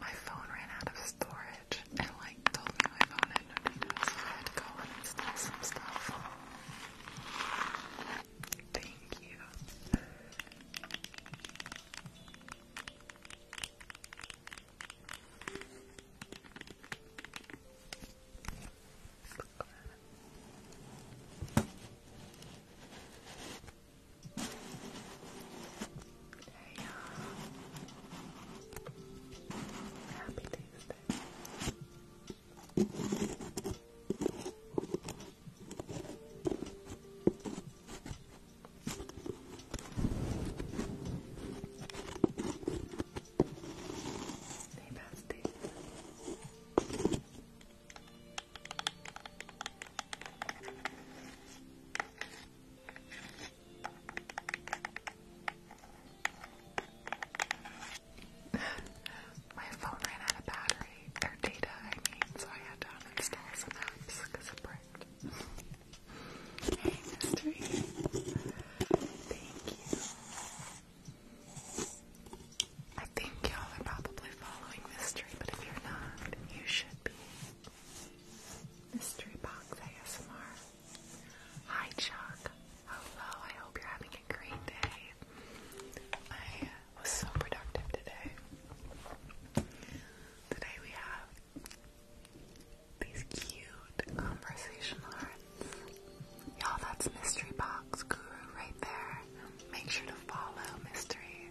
My phone ran out of storage and like told me my phone had no data, so I had to go and install some stuff. Thank you. There you are. Happy Tuesday. Hey bestie. My phone ran out of battery, or data, I mean, so I had to uninstall some apps it bricked. hey, mystery. Thank you. I think y'all are probably following Mystery, but if you're not, you should. Mystery Box ASMR. Hi Chuck. Hello, I hope you're having a great day. I was so productive today. Today we have these cute conversation hearts. Y'all, that's Mystery Box Guru right there. Make sure to follow Mystery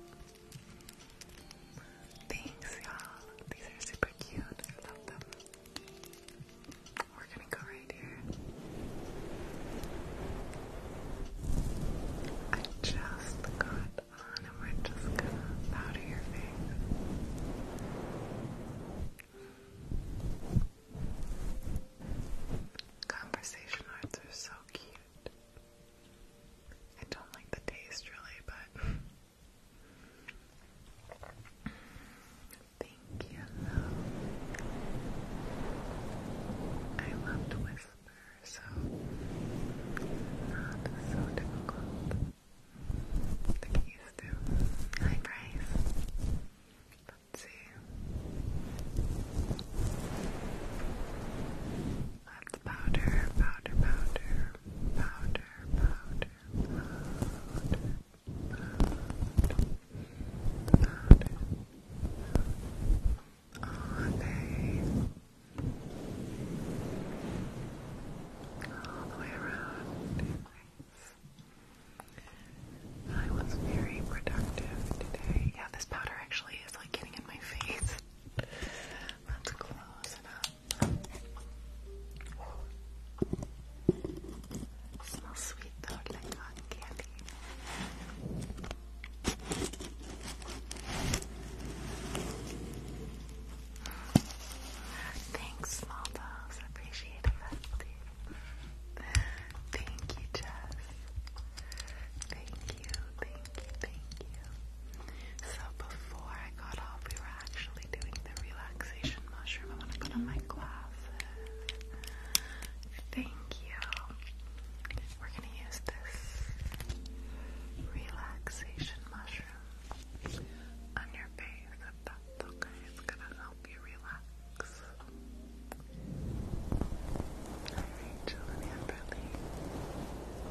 Thanks, y'all. These are super cute. I love them. We're gonna go right here. I just got on and we're just gonna powder your face. Conversation arts are so cute. I don't like the taste really, but I love whisper, so not so difficult to get used to. Hi Let's see. That's powder, powder, powder, powder, powder, powder, powder, powder. All All the way around. I was very productive today. Yeah, this powder actually is like getting in my face. Let's close it up. smells sweet though, like cotton Thanks, small dogs. appreciate it. Thank you, Jess. Thank you, thank you, thank you. So before I got off, we were actually doing the relaxation mushroom. I want to put on my glasses. Thank you. We're gonna use this relaxation mushroom on your face if that's okay. It's gonna help you relax. Alright, so let me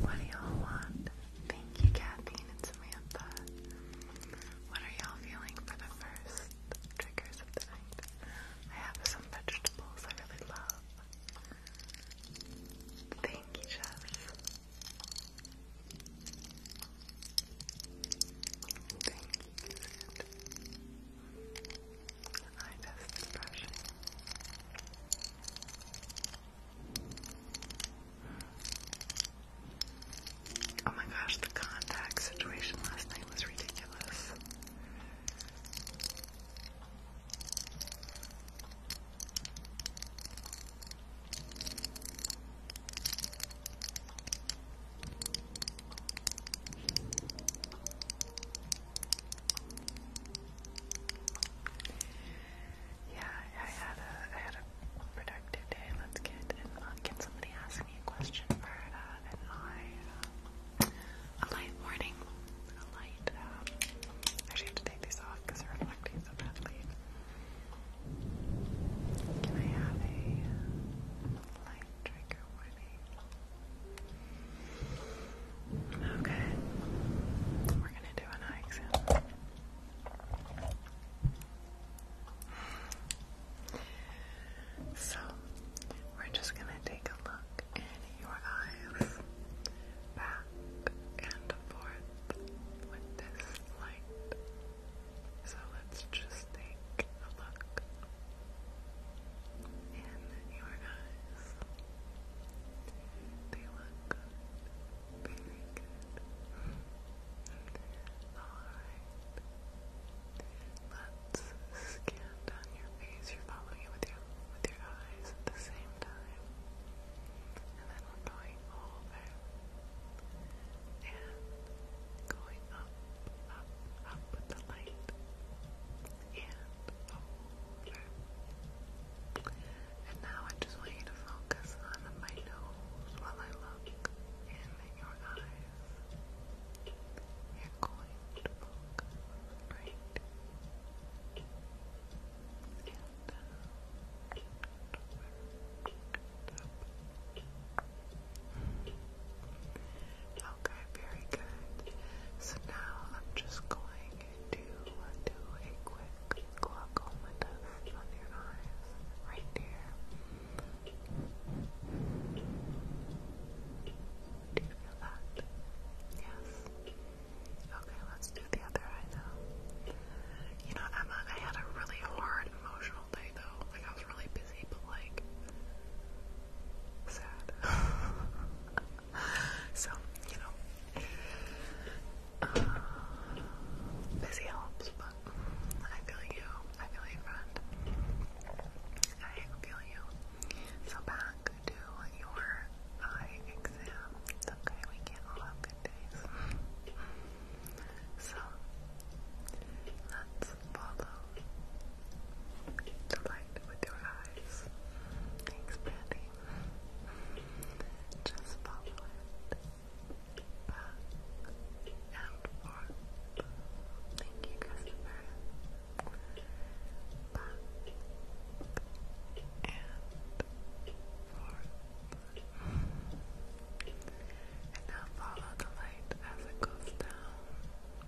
what do y'all want? Thank you, Kathleen and Samantha. What are y'all feeling for the first triggers of the night? I have some vegetables I really love. Thank you, Jess. Thank you, Cassandra. I just brushing. Oh my gosh, the contact situation last night was ridiculous. Yeah, I had a I had a productive day. Let's get and uh, not somebody asking me a question for uh, an light warning, a light. Uh, I actually have to take these off because they're reflecting so badly. Can I have a uh, light trigger morning. Okay. We're gonna do an eye exam. So, we're just gonna take a look in your eyes, back and forth with this light. So let's just take a look in your eyes. They look Very good. Alright. Let's scan your face. You're following it with your with your eyes at the same time. And then we're going and going going up, up, up with the light and older. And now I just want you to focus on my nose while I look in your eyes. You're going to focus right and down, uh, up, Okay, very good. So now I'm just going to do a quick glaucoma test on your eyes right here. Do you feel that? Yes. Okay, let's do the other eye now. You know, Emma, I had a really hard emotional day though. Like I was really busy crazy, like sad. so, you know, uh, busy helps, but I feel you. I feel you, friend. I feel you. So back to your eye exam. It's okay, we can all have good days. So, let's follow Keep with your eyes. Thanks, Brandy. Just follow it. Back and forth. Thank you, Christopher. Back and forth. And now follow the light as it goes down.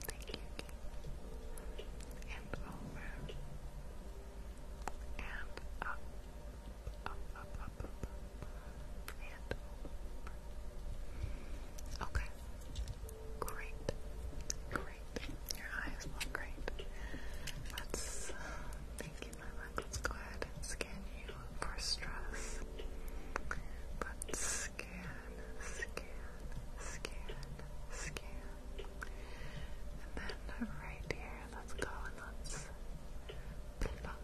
Thank you and over and up, up, up, up, and Okay, great, great. Your eyes look great. Let's thank you, Let's go ahead and scan you for stress. Let's scan, scan, scan. And then right here, let's go and let's pluck out.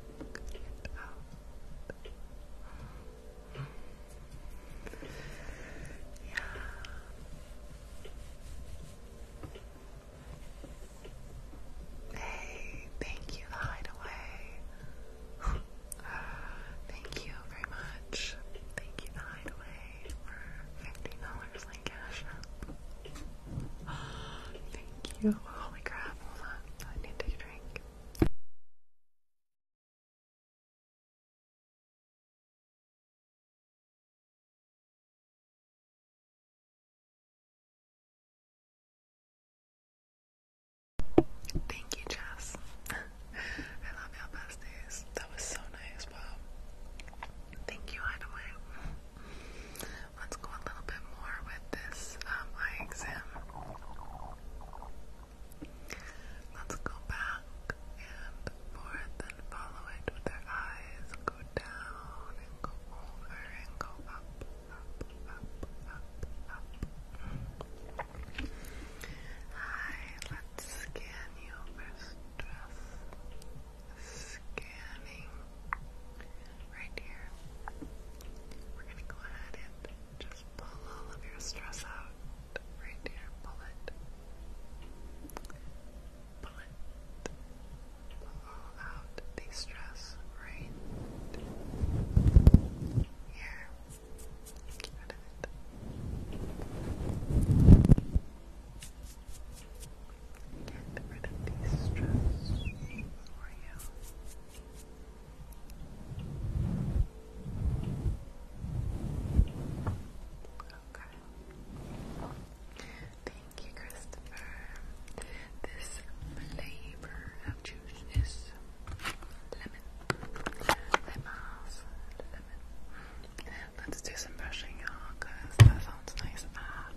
Yeah. Hey, thank you, hideaway. Thank you very much. Thank you, Hideaway, for $15 like cash Thank you. Holy crap, hold on. I need to drink. Thank you, Jess. I love you besties. That was so nice, Bob. Thank you, Hideaway. Let's go a little bit more with this um, eye exam. Let's go back and forth and follow it with our eyes. Go down and go over and go up. Hi, let's scan you stress. Scanning right here. We're gonna go ahead and just pull all of your stress out. Right here, pull it. Pull it. Pull out the stress right here. Get rid of these stress Thank you, Christopher. This flavor of juice Let's do some brushing, you that sounds nice. Ah.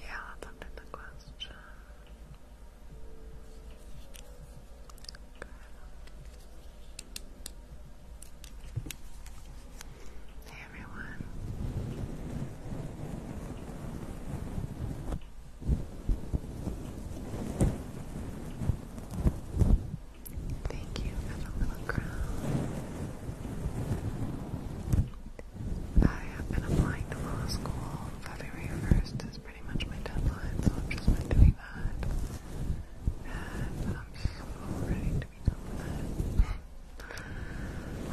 Yeah, that's the question everyone. Thank you for the little crown. I have been applying to law school February 1st is pretty much my deadline, so I've just doing that. And I'm so ready to be done with it.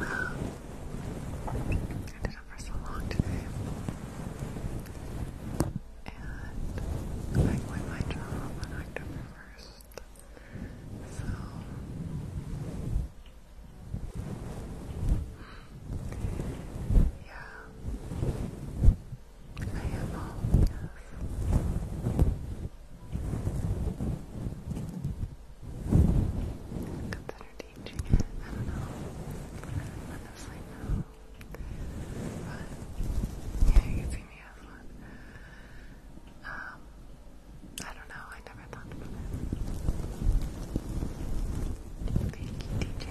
I did it for so long today. And I quit my job on October 1st. So. Yeah. I am all yes. Consider teaching it. I don't know. Honestly, no. But yeah, you see me as one. Um, I don't know. I never thought about it. Thank you, DJ.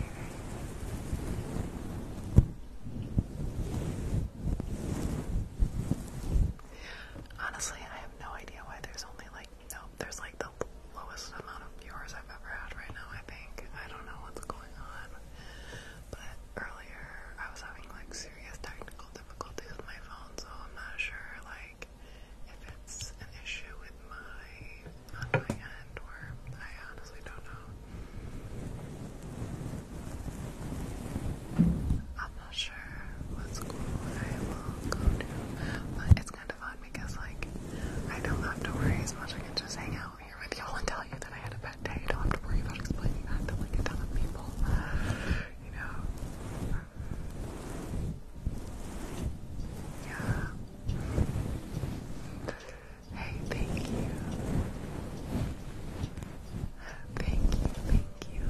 Honestly, I have no idea why there's only like nope. there's like the lowest amount of viewers I've ever had right now. I think I don't know what's going on, but earlier I was having like serious technical difficulties with my phone, so I'm not sure like if it's an issue with my on my end, or I honestly don't know. I'm not sure what school I will go to, but it's kind of fun because, like, I don't have to worry as much. I can just hang out here with y'all and tell you that I had a bad day. don't have to worry about explaining that to, like, a ton of people, you know? Yeah. Hey, thank you. Thank you, thank you. I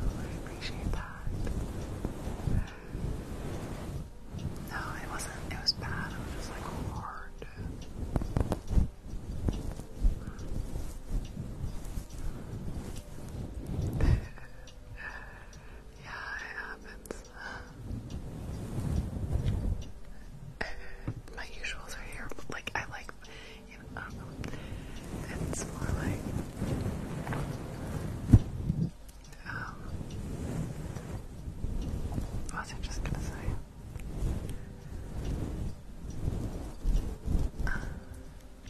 appreciate that. No, it wasn't, it was bad. It was just like hard. yeah, it happens. Uh, my usuals are here, like I like, um, it's more like, um, what was I just gonna say? Uh,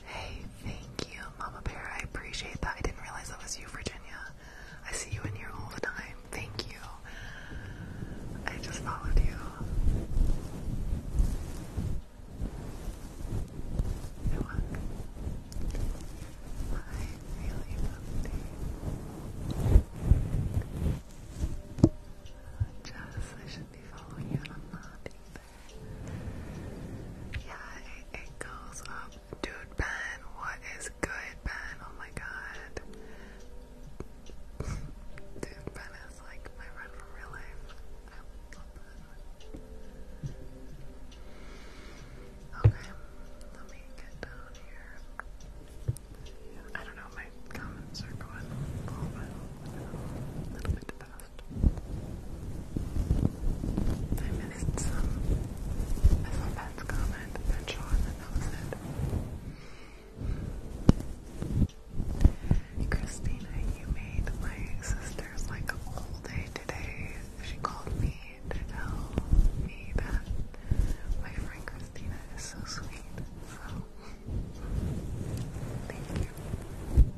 hey, thank you, Mama Bear. I appreciate that. I didn't realize that was you, Virginia. I see you in here all the time. Thank you. I just followed you. I want really love I should be following you I'm not either. Yeah, it goes up. Dude, Ben, what is good, Ben? Oh my god. Dude, Ben is like my friend from real life. Okay, let me get down here. I don't know, my comments are going a little bit, a I missed some. I saw Ben's comment, Ben Sean, Christina, you made my sister's like a whole day today. She called me to tell me that my friend Christina is so sweet. So thank you.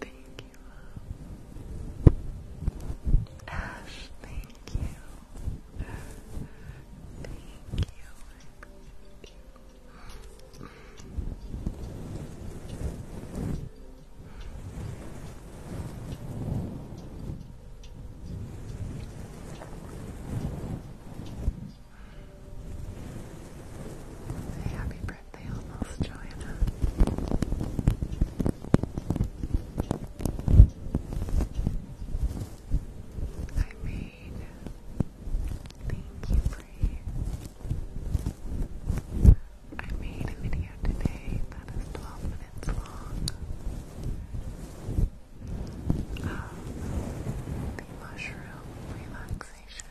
Thank Ash, Thank you. Thank you. Happy birthday, almost Joanna. I made. Thank you, Bray. I made a video today that is 12 minutes long the mushroom relaxation.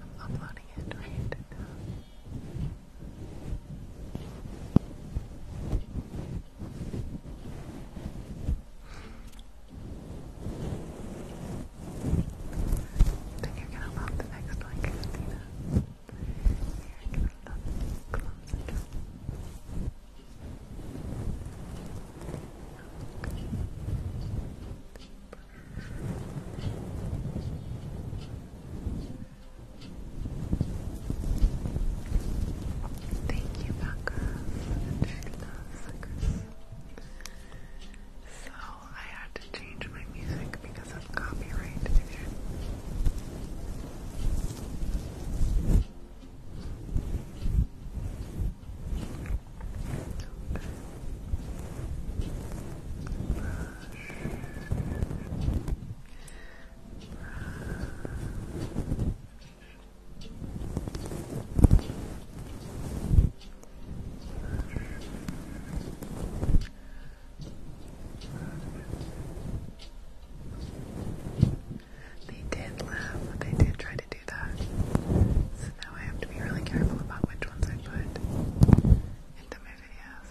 I'm uploading it right now. Then you're gonna upload the next one, Christina. You're gonna it. Thank you, Becca, for the two So I had to change my music because of copyright they did laugh, they did try to do that so I have to be really careful about which ones I put into my videos.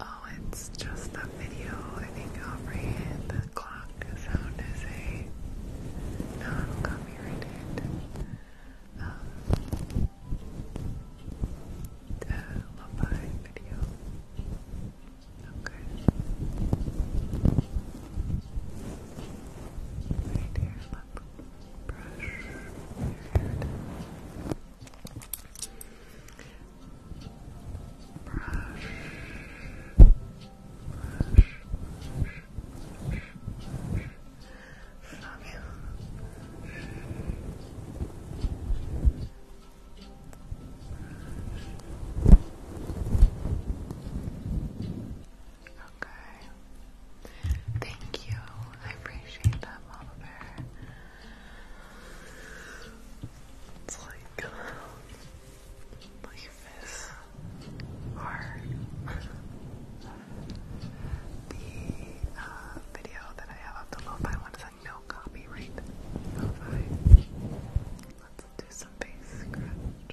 Oh, it's just the video, I think, Aubrey, and the clock sound is a non-copyrighted um, uh, lo-fi video. Okay. Right here, let brush your head. Brush, brush, brush, brush, brush. From you. Brush. Brush. Okay. Thank you. I appreciate that, Mama Bear. It's like life is hard. the uh, video that I have of the lo-fi one is like no copyright Let's do some face scratch.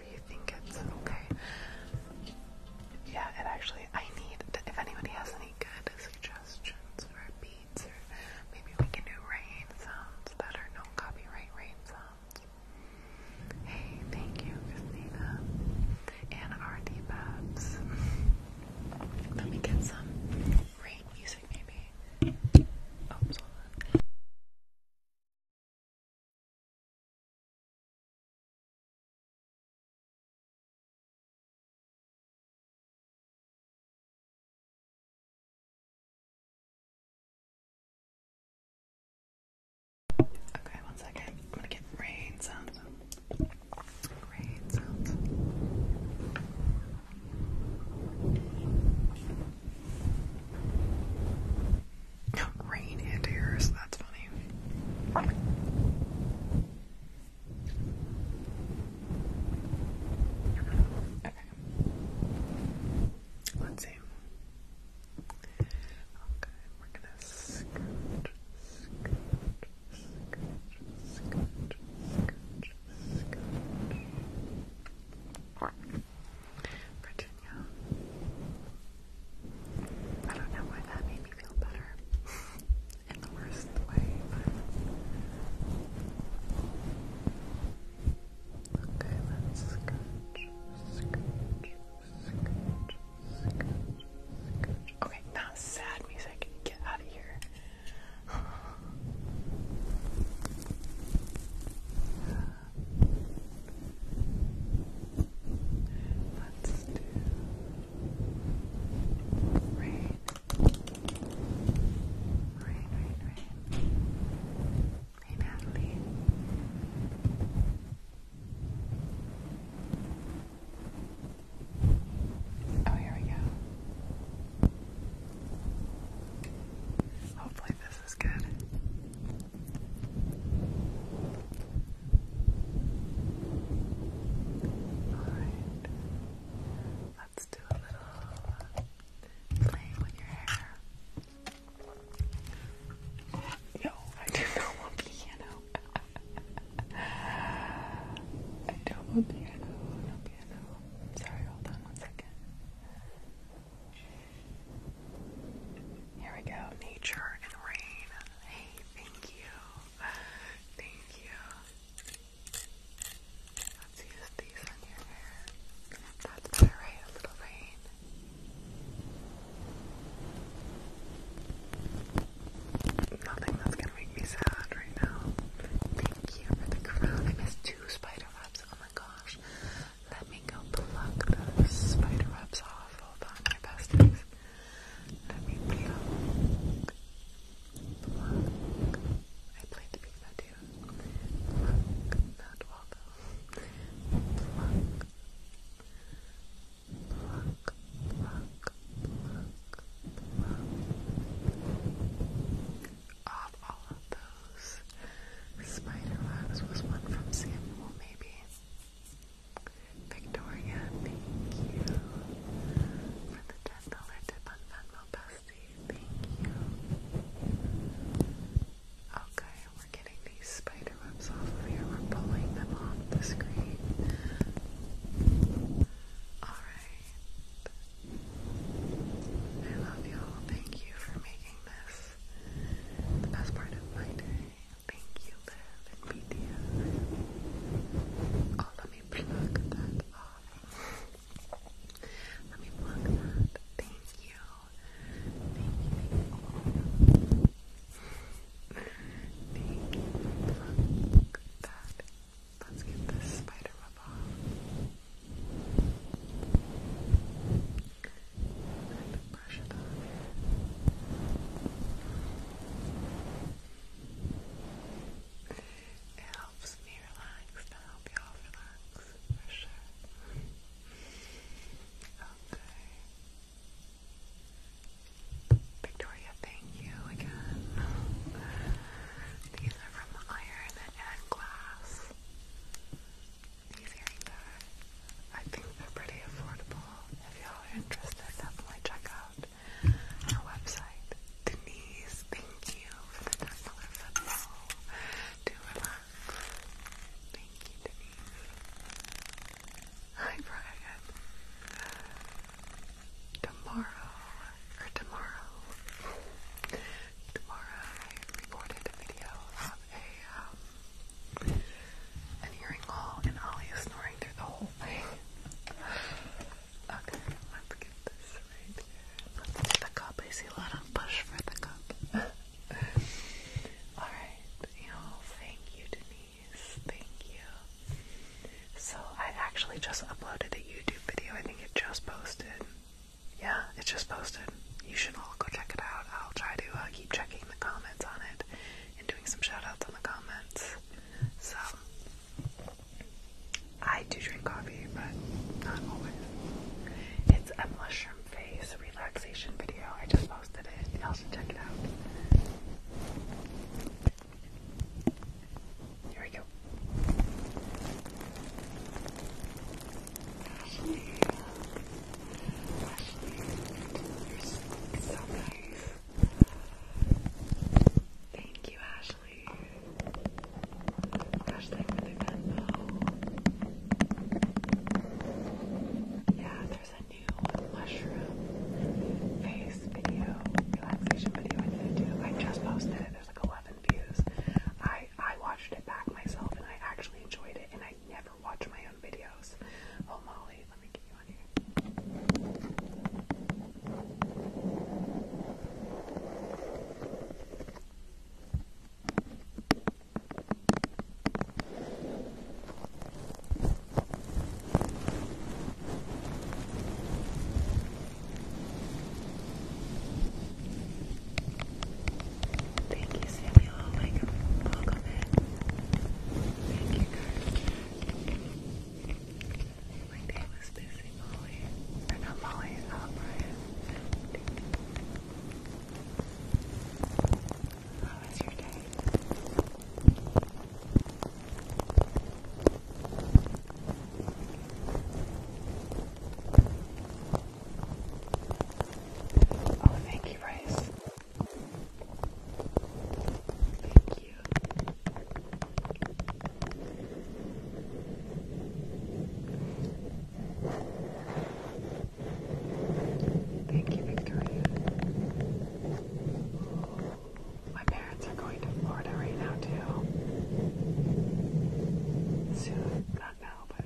whatever you think it's okay. Yeah, it actually, I need, to, if anybody has any good suggestions for beats, or maybe we can do rain sounds that are no copyright rain sounds. Hey, thank you, Christina. And Artie Babs. Let me get some rain music, maybe. Oops, oh, hold on. Okay, one second. I'm gonna get rain sounds. Rain sounds. Rain and tears, that's funny. Okay. Let's see. Okay, we're gonna Virginia. I don't know why that made me feel better in the worst way, okay, let's scratch, scratch, scratch, scratch, scratch. Okay, not sad music. Get out of here. Let's do rain. Rain, rain, rain. Hey Oh, here we go. Hopefully, this is good. Let's do a little playing with your hair. No, I do not want piano. I don't want piano, no piano. Sorry, hold on one second. Here we go. Nature and rain. Hey, thank you. Thank you. Let's use these on your hair. That's better, right? A little rain. Nothing that's gonna make me sad right now. Thank you for the crown. I missed two spider webs. Oh my gosh. Let me go pluck those spider webs off. Hold on, my besties. Let me pluck. Pluck. I played the piano too. Pluck. Not Waldo. Pluck. Pluck. Pluck. Pluck. Off all of those Spiderwebs was one from Samuel, maybe. Victoria, thank you for the $10 tip on Venmo Bestie. Thank you. Okay, we're getting these spider off of here. We're pulling them off the screen. Alright. I love y'all. Thank you for making this the best part of my day. Thank you, Liv Oh, let me plug that off. let me plug that. Thank you. Thank you, thank you. thank that. Let's get this spider off it helps me relax, to help y'all relax, for sure. Okay. Victoria, thank you again. These are from Iron and Glass these I think they're pretty affordable. If y'all are interested, definitely check out our website. Denise, thank you for the $10 football. relax. Thank you, Denise. Hi, Brian. Tomorrow, or tomorrow, tomorrow I recorded a video of a, um, an earring haul, and Ali is snoring through the whole thing. Okay, let's get this right Let's do the cup. I see a lot of push for the cup. Alright, you know, thank you, Denise. Thank you. So, I actually just uploaded a YouTube video. I think it just posted. Yeah, it just posted you should all go check it out. I'll try to uh, keep checking the comments on it and doing some shout outs on the comments. So, I do drink coffee, but not always. It's a mushroom face relaxation video. I just posted it. Y'all should check it out. Here we go. Ashley, Ashley, you're so nice. Thank you, Ashley. Hashtag really Venmo. Yeah, there's a new mushroom face video, relaxation video I need I just posted it. There's like 11 views. I I watched it back myself and I actually enjoyed it and I never watch my own videos. Oh, Molly, let me get you on here. Thank you, Samuel. Oh, Welcome, Thank you, Kurt. My day was busy, Molly. Or not Molly, uh, Brian. How was your day? Oh, thank you, Rice. Thank you. Thank you, Victoria. Oh, my parents are going to Florida right now, too. Soon. Not now, but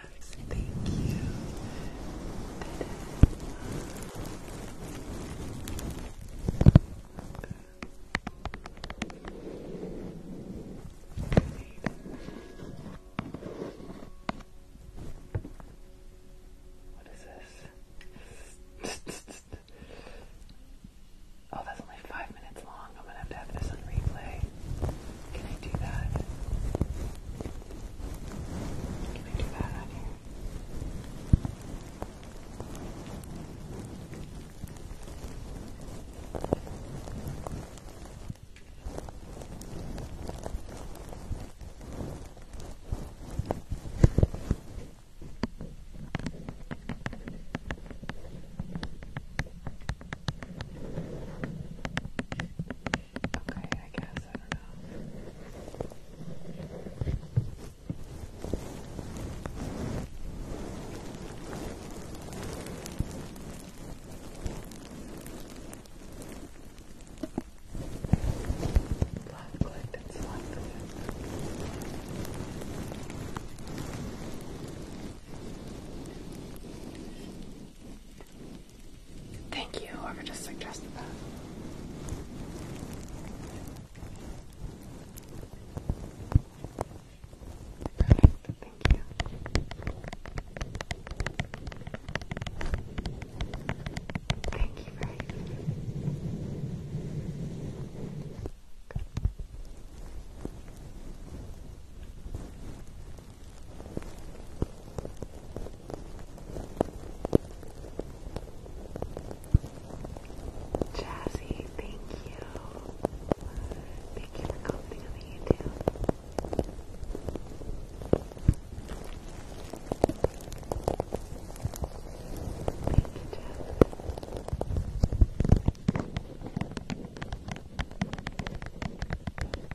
Thank you. What is this? oh, that's only five minutes long. I'm gonna have to have this replay. Can I do that? Can I do that on here? Okay. Okay, I guess, I don't know. Left clicked and selected Thank you, whoever just suggested that. thank you. Thank you very much. Jazzy, thank you. Thank you for commenting you, Jazzy.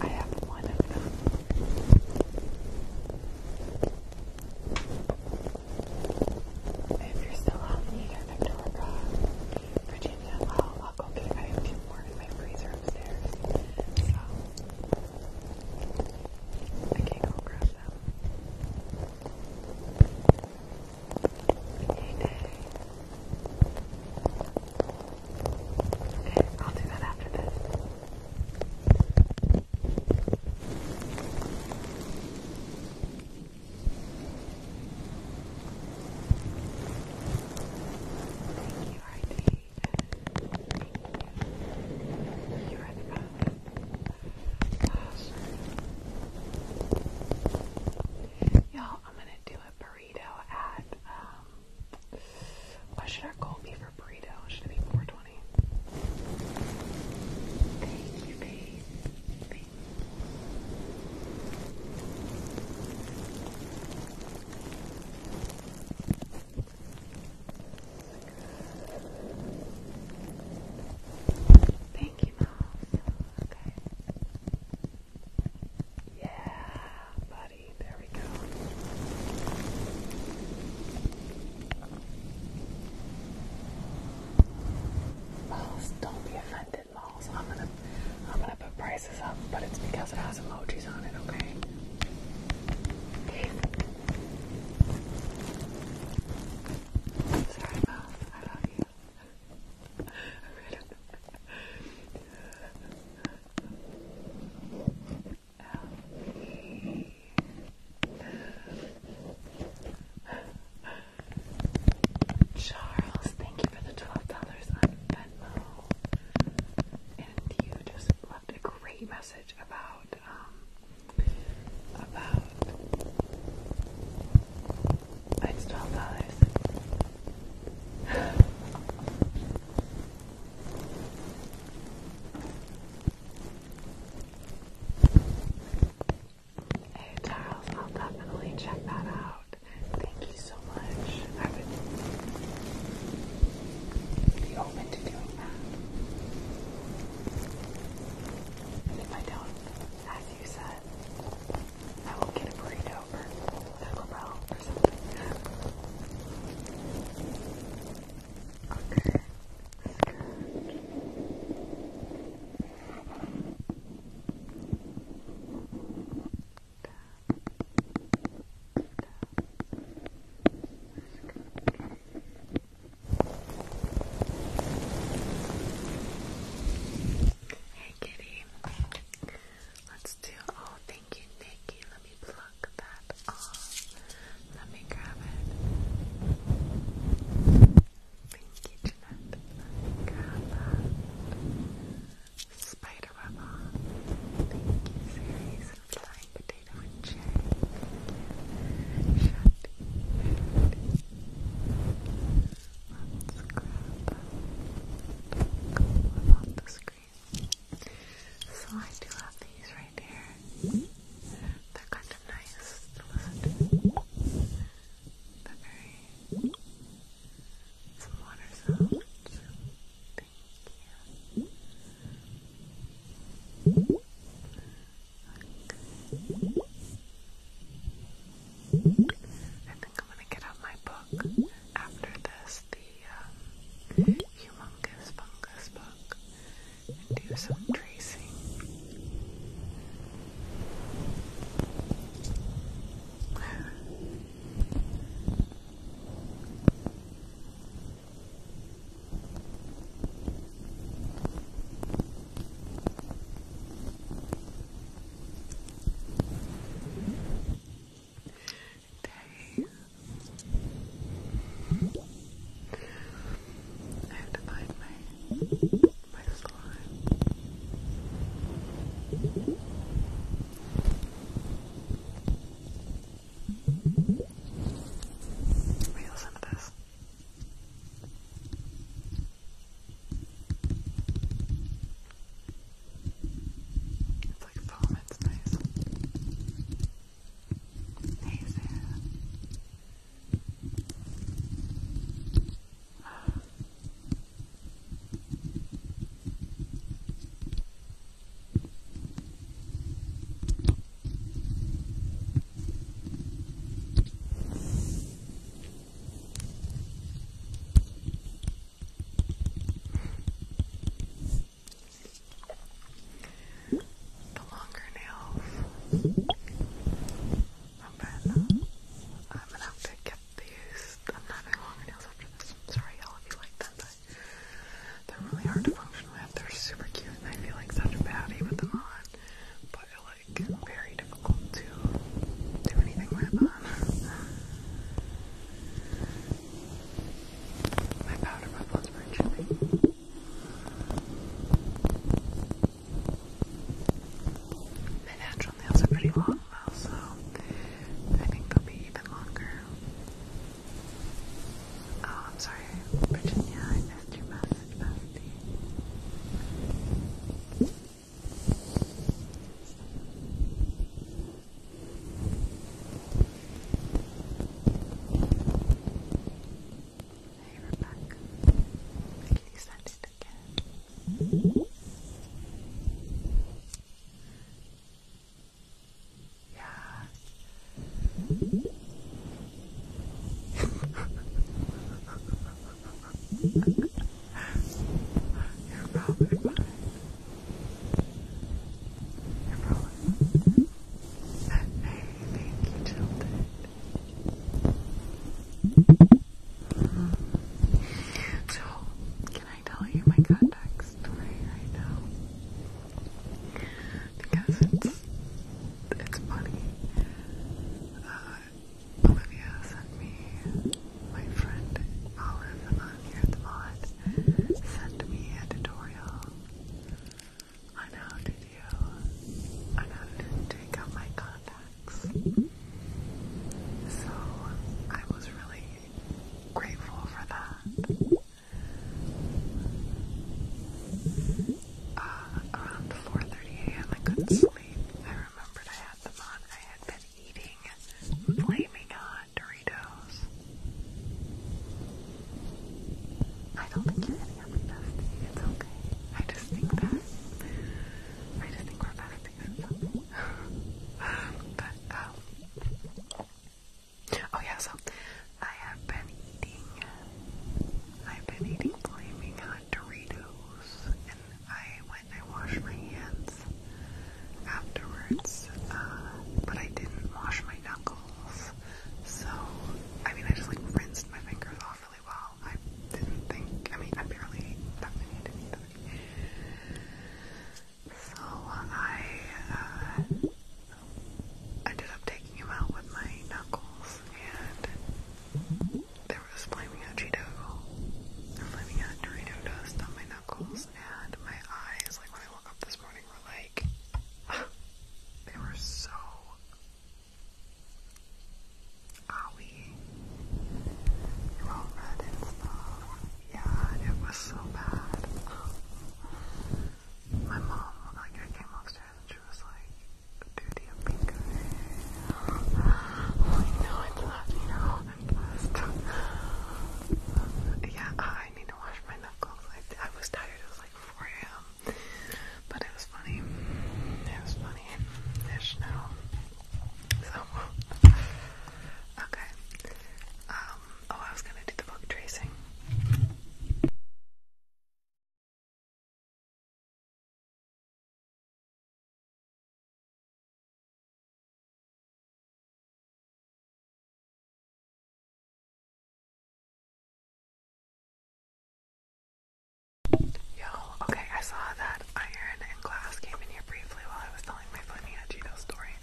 I have one of them. If you're still on me or Victoria, Virginia, I'll, I'll go get it. I have two more in my freezer upstairs. So I can't go grab them. Hey, day. Okay, I'll do that after this. Thank you, Heidi. Thank you. You're at the back. Gosh. Y'all, I'm gonna do a burrito at, um, what should our goal be for burrito? Should it be 420? Thank you, babe. Thank you, yeah, buddy. There we go. Malls, don't be offended, Malls. I'm gonna, I'm gonna put prices up, but it's because it has emojis on it. Okay. Sorry, Miles. I love you. Charles, thank you for the twelve dollars on Venmo, and you just left a great message about um about it's twelve dollars. Hey Charles, I'll definitely check that out. Thank you so much. I would be open to doing that. if I don't, as you said, I will get a burrito or Taco Bell or something. Okay, that's good. Tap. Tap. Hey kitty, Let's do. Oh, thank you, Nikki. Let me pluck that off. Let me grab it. Thank you, Jeanette. Grab that. Spider web Thank you, series and flying potato and cherry. Shut. Shut. Let's grab a couple the screen. So I do have these right here. They're kind of nice to listen to. they very... Some water sounds. Thank you. I think I'm gonna get out my book after this, the um, humongous fungus book, and do some tracing day. I have to find my my slime. Wait, listen to this. It's like foam, it's nice. Hey, the longer nails, I'm better. I'm gonna have to get these. I'm having longer nails after this. sorry, y'all, you like them, but they're really hard to function with. They're super cute, and I feel like such a baddie with them on, but like varied to do anything with on. My powder muffins were chilly. My natural nails are pretty long so I think they'll be even longer. Oh, I'm sorry, Virginia, I missed your message, Hey, we're back. I get excited again. Yeah. You're probably fine. You're probably fine. Hey, thank you, Tilted. Mm So, can I tell you my contact story right now? Because it's it's funny. Uh, Olivia sent me, my friend Olive on here mod, sent me a tutorial on how do, on how to take out my contacts. So I was really grateful for that. Uh, around 4.30 a.m. I couldn't sleep. I remembered I had them on. I had eating Flaming Hot Doritos. I don't think you're getting up It's okay. I just think that. I just think we're besties. but, um. Oh, yeah, so I have been eating. I've been eating Flaming Hot Doritos. I went and washed my hands afterwards, uh, but I didn't wash my knuckles. So, I mean, I just like rinsed my fingers off really well. I didn't think, I mean, I barely So I, uh, ended up taking him out with my knuckles, and there was flaming hot Cheeto or flaming hot Dorito dust on my knuckles and my eyes, like when I woke up this morning, were like, ah, they were so owie. They were all red and stuff. Yeah, it was so bad. My mom, like, I came upstairs and she was like, Dude, you pink I'm it's not, i yeah, I need to wash my knuckles. I, was tired. It was like 4 a.m. But it was funny. It was funny. Ish now. So, okay. Um, oh, I was gonna do the book tracing. Yo, okay, I saw that iron and glass came in here briefly while I was telling my funny story.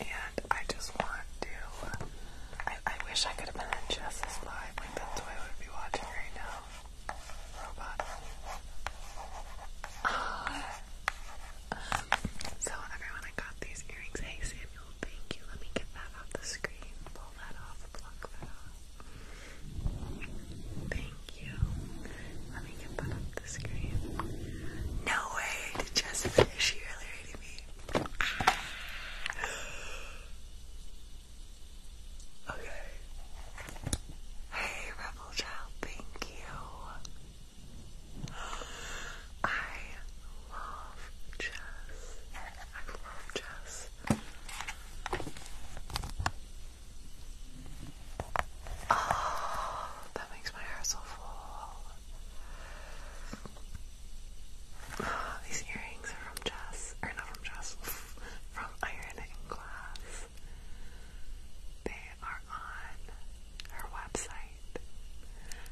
And I just want to I, wish I could have been in Jess's live, that's what I would be watching right now. Uh, so everyone, I got these earrings. Hey Samuel, thank you. Let me get that off the screen. Pull that off. Pluck that off. Thank you. Let me get that off the screen. No way! Did Jess finish you earlier to me? Ah. Okay. Hey, thank you. I love Jess. I love Jess. Oh, that makes my hair so full. these earrings are from Jess, or not from Jess, from Iron Glass. They are on her website.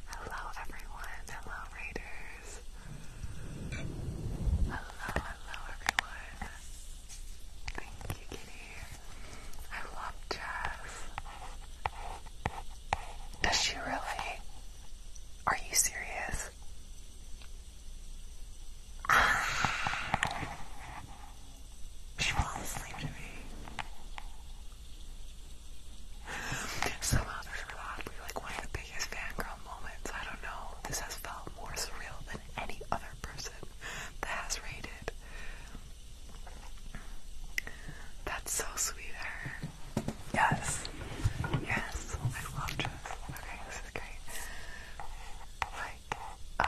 Hello, everyone. Hello, Raiders. Hello, hello, everyone. Thank you, Kitty. I love Jess. Does she really? Are you serious? She was asleep to me. Somehow there's probably like one of the biggest fangirl moments. I don't know. This has felt more surreal than any other person that has rated. That's so sweet, her. Yes. Yes. I love Jess. Okay, this is great. Hi, like uh,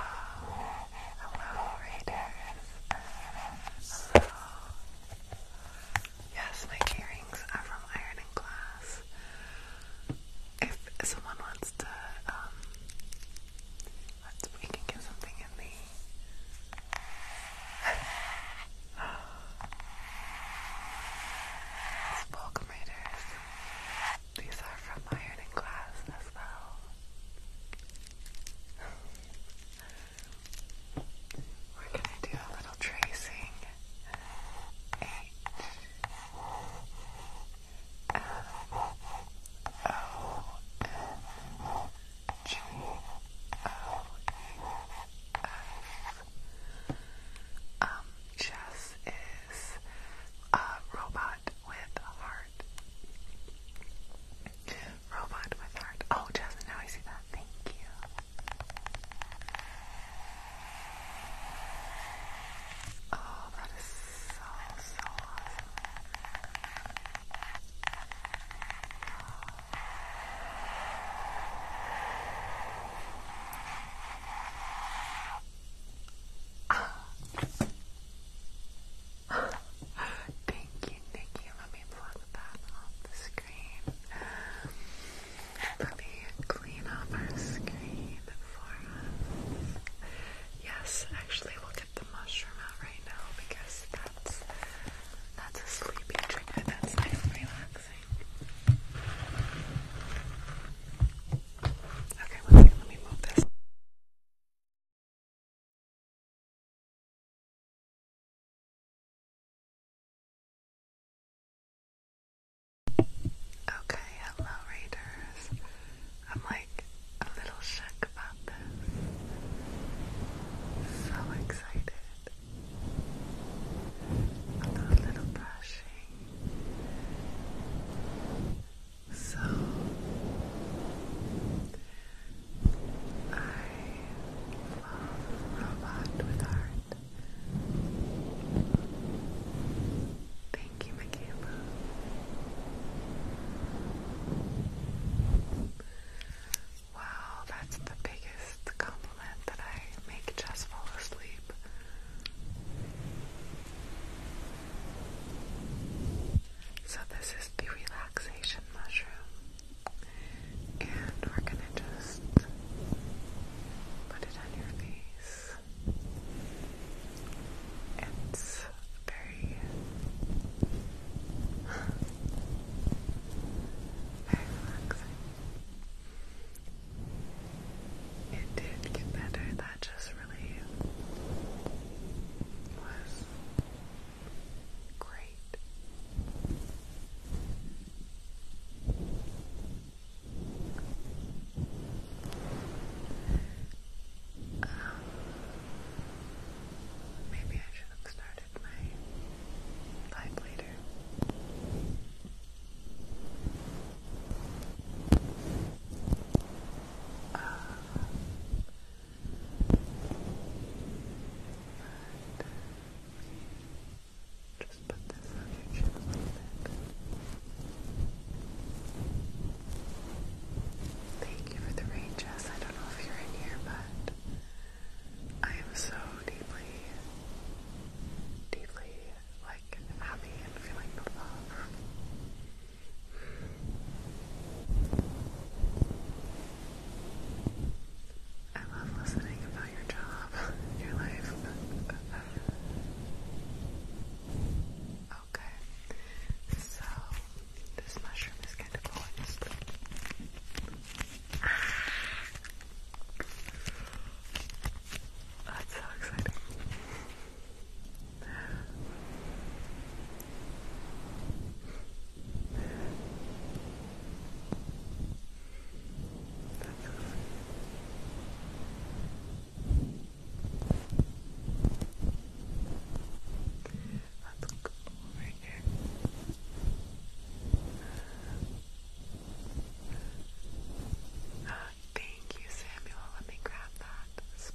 yes, my earrings are from Iron and Glass. If someone wants to, um, we can get something in the. Welcome, Raiders. These are from Iron and Glass as well. We're gonna do a little tracing. H M O N G O E F. Um, Jess is a robot Robot with heart. Robot with heart. Oh, Jasmine, now I see that. Thank you. Oh, that is so, so awesome. Thank you, Nikki. gonna me plug that off the screen. Let me clean up our screen for us. Yes, actually, we'll get the mushroom out right now because that's that's a sleepy trigger. That's nice and relaxing. Okay, let me let me move this. Okay, hello readers. I'm like a little shook about this. So excited. I'll a little brushing. So I love Robot with Heart. Thank you, Michaela. Wow, that's the biggest compliment that I make just fall asleep. So this is the relaxation mushroom. And we're gonna just put it on your face. It's very very relaxing. It did get better, that just was great. Um, maybe I should have started my life later. Uh, just put this on your chin a Thank you for the rain, Jess. I don't know if you're in here, but I am so deeply, deeply like happy and feeling the love. I love listening about your job, your life. okay, so this mushroom is kind of poised. so exciting. Let's go over here. Oh, thank you, Samuel. Let me grab that.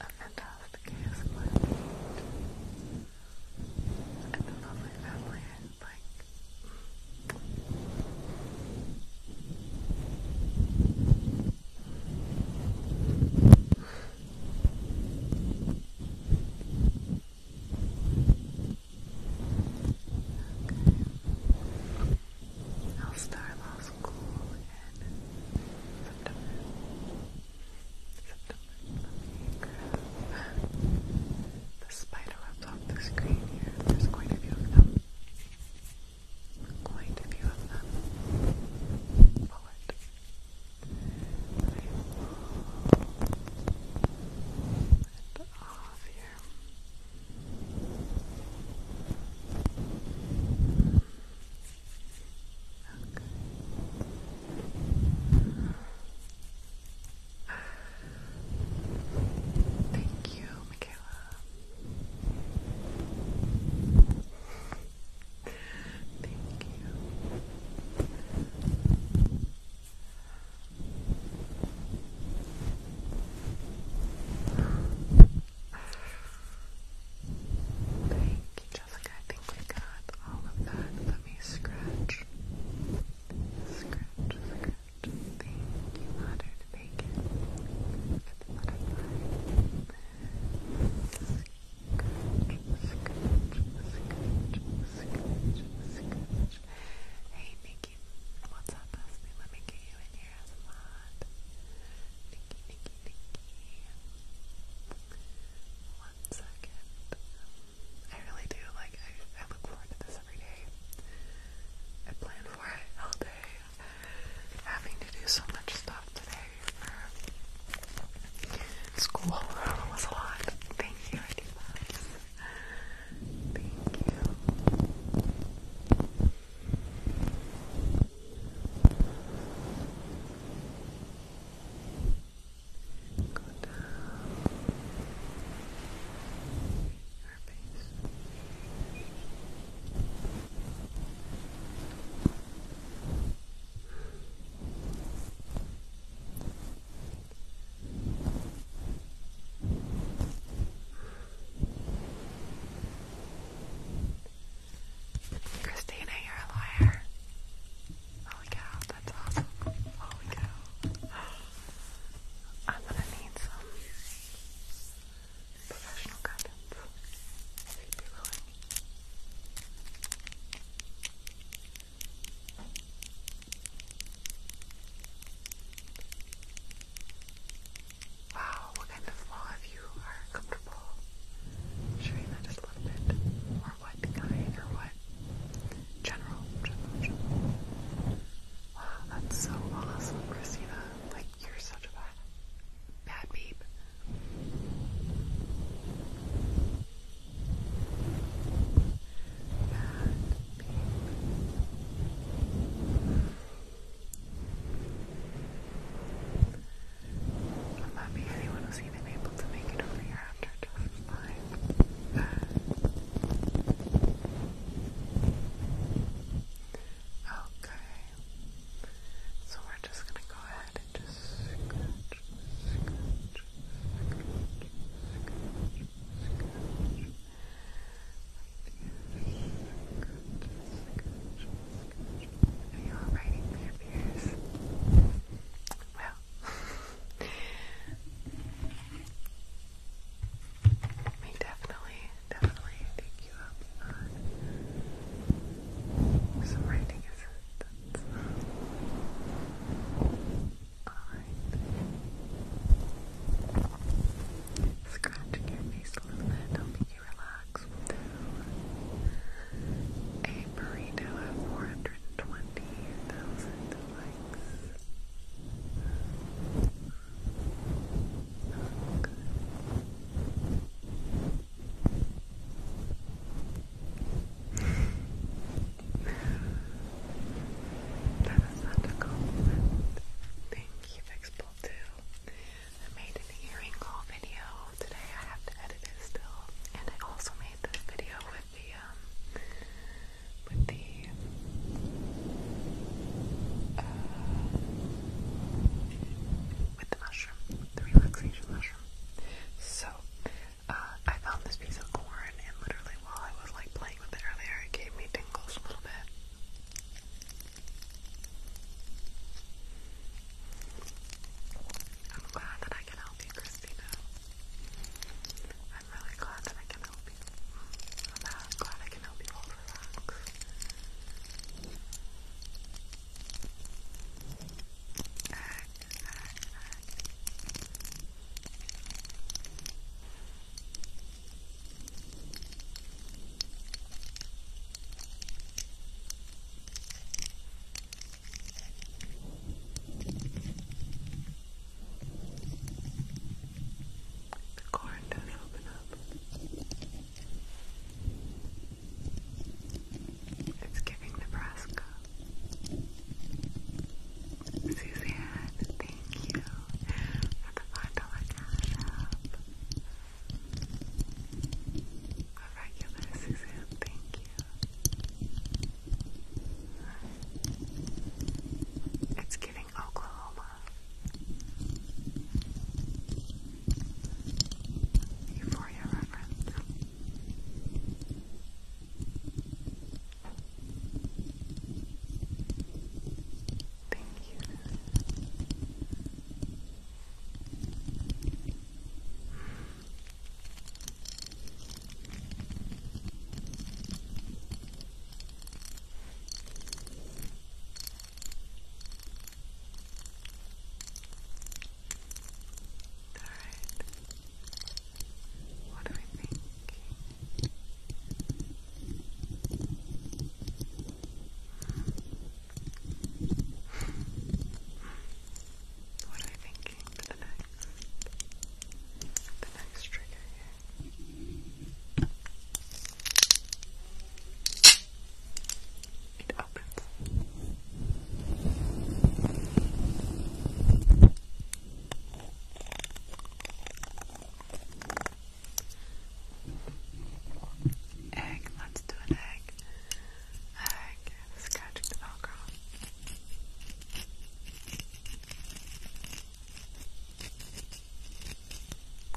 a fantastic housewife and a lovely family like I'll start off school and September. September. the spider webs off the screen here. There's quite a few of them. Quite a few of them. Pull it. I off here. Thank you, Michaela. Thank you. Thank you, Jessica. I think we got all of that. Let me scratch. Scratch, scratch. Thank you, Bacon. For the Scratch, scratch, scratch, scratch, scratch. Hey, Nikki. What's up, Leslie? Let me get you in one second. I really do like. I, look forward to this every day. I plan for it all day. Having to do so much stuff today school was a lot. Thank you, I do Thank you. Go down your face. Down Christina, you're a liar. Holy cow, that's awesome. Holy cow. I'm gonna need some professional guidance, if you'd be willing. Wow, what kind of law if you are comfortable sharing that a little bit? Or what kind or what? General, Wow, that's so awesome, Christina. Like you're such a bad bad Bad beep. I'm happy anyone was even able to make it over here after just fine. okay. So we're just gonna go ahead and just are you alright in there, Pierce? Well, let definitely, definitely take you up some writing assistance. Alright. Scratching your face a little bit, a burrito at 420,000 likes. that is such a compliment. Thank you, Fixable I made an earring haul video today. I have to edit it still. And I also made this video with the um with the uh, with the mushroom, the relaxation mushroom. So uh, I found this piece of corn and literally while I was like playing with it earlier it gave me tingles a little bit. I'm glad that I can help you, Christina. I'm really glad that I can help you. I'm glad I can help you all relax. Uh, the corn does open up. It's giving Nebraska. Suzanne, thank you for the five dollar cash up. A regular Suzanne, thank you. It's giving Oklahoma. Euphoria Thank you. Alright. What do we think? What am I thinking for the next, the next trigger here? It opens. Egg, let's do an egg like scratching the velcro.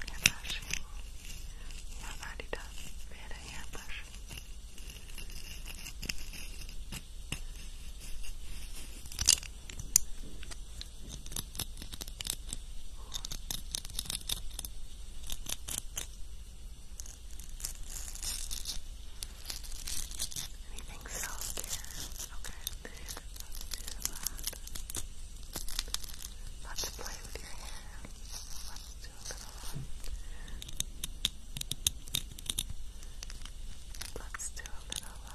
Hand brushing. Yeah, I've already done a bit of Anything soft here? Okay. Let's do that. Let's play with your hair. Let's do a little. Let's do a little.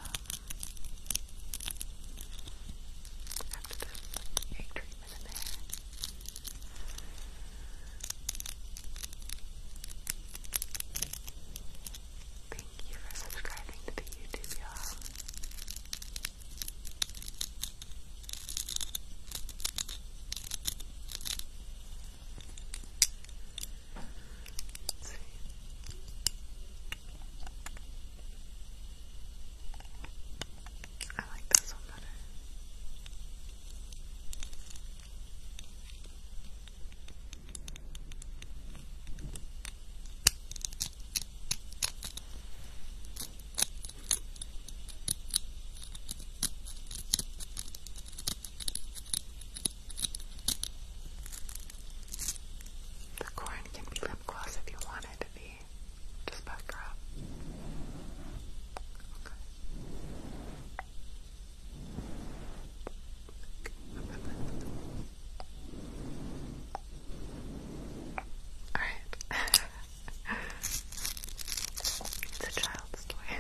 after the egg treatment. Thank you for subscribing to the YouTube, y'all. I like this one better. The corn can be lip gloss if you want it to be. Just back her up. Okay. Alright. it's a child's toy.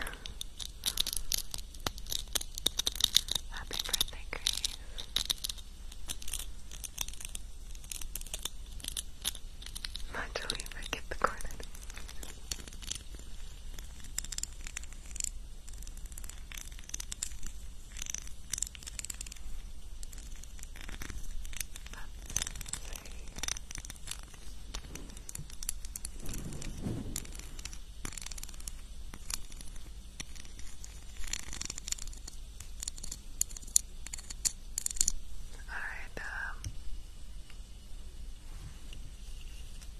Happy birthday, Grace. Naturally, forget the coordinates. Alright, um,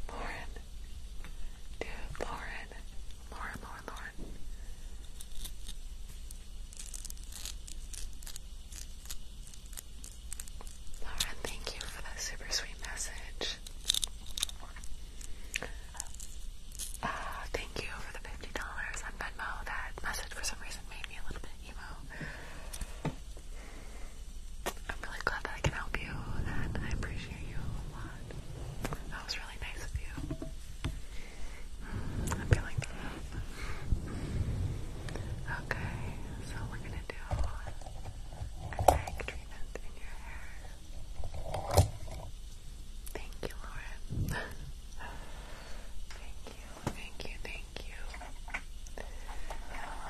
Lauren, dude, Lauren, Lauren, Lauren, Lauren. Lauren, thank you for that super sweet message. Uh, thank you for the $50 on Venmo. That message for some reason made me a little bit emo. I'm really glad that I can help you, I appreciate you a lot. That was really nice of you. Mm, I'm feeling Okay, so we're gonna do an egg treatment in your hair. Thank you, Lauren. thank you, thank you, thank Thank you.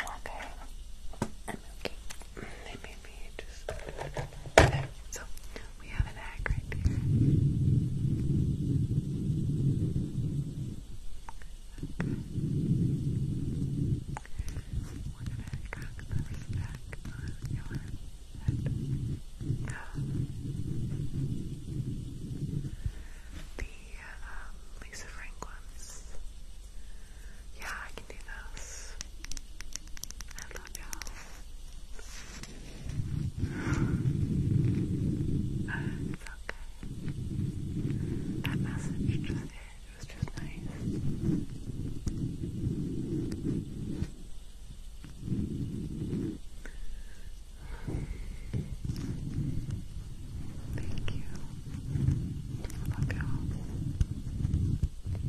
Oh, okay. okay. They made me just. So, we have an egg right here. We're gonna crack this egg on your head. Um, the um, Lisa Frank ones. Yeah, I can do those. I love y'all. Uh, it's okay. That message was just nice. Thank you. I love you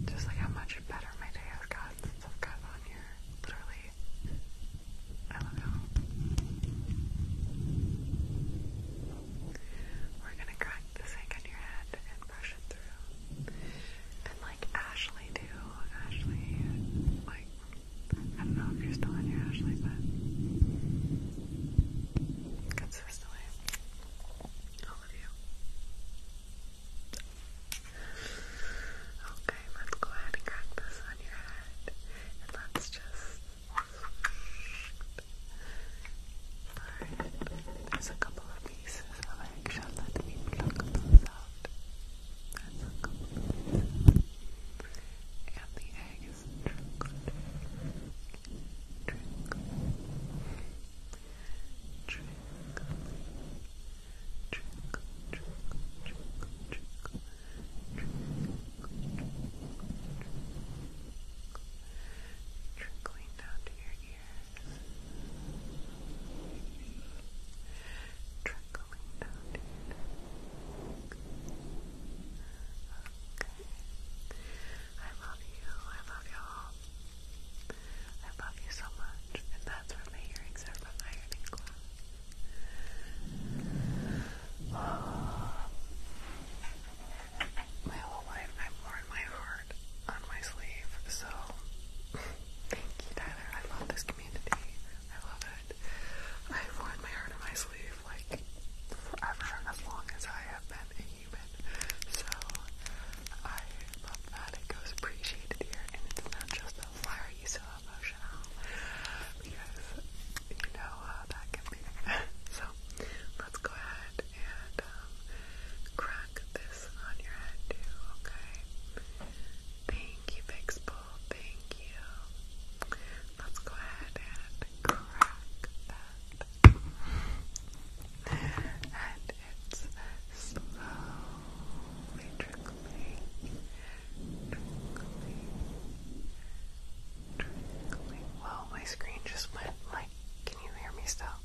Just like how much better my day has gotten since I've gotten on here. Literally. I love you We're gonna crack the sink on your head and brush it through. And like Ashley too. Ashley like I don't know if you're still on here, Ashley, but consistently. All of you. Okay, let's go ahead and crack this on your head. And let's just. Alright, there's a couple of pieces of eggshell that we pluck those out. That's a couple the egg trickling down to your ears. Trickling down to I love you. I love y'all. I love you so much. And that's where my earrings are from Ironing Club. My whole life I've worn my heart on my sleeve, so thank you, Tyler. I love this community. I love it. I've worn my heart on my sleeve like forever, as long as I have been human. So I love that it goes appreciated here, and it's not just the why are you so emotional? Because you know uh, that can be. so let's go ahead and um, crack this on your head okay? Thank you, Big Spool. Thank you. Let's go ahead and crack that. And it's slowly trickling, trickling, trickling. Whoa, my screen just went like, can you hear me still?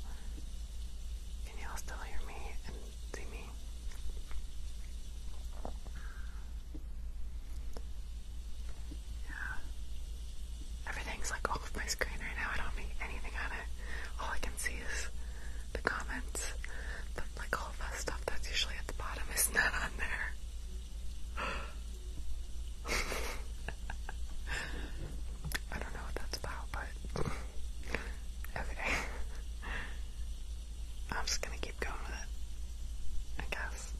Can y'all still hear me and see me? Yeah. Everything's like off my screen right now. I don't make anything on it. All I can see is the comments. like all that stuff that's usually at the bottom is not on there. I don't know what that's about, but okay. I'm just gonna keep going with it. I guess.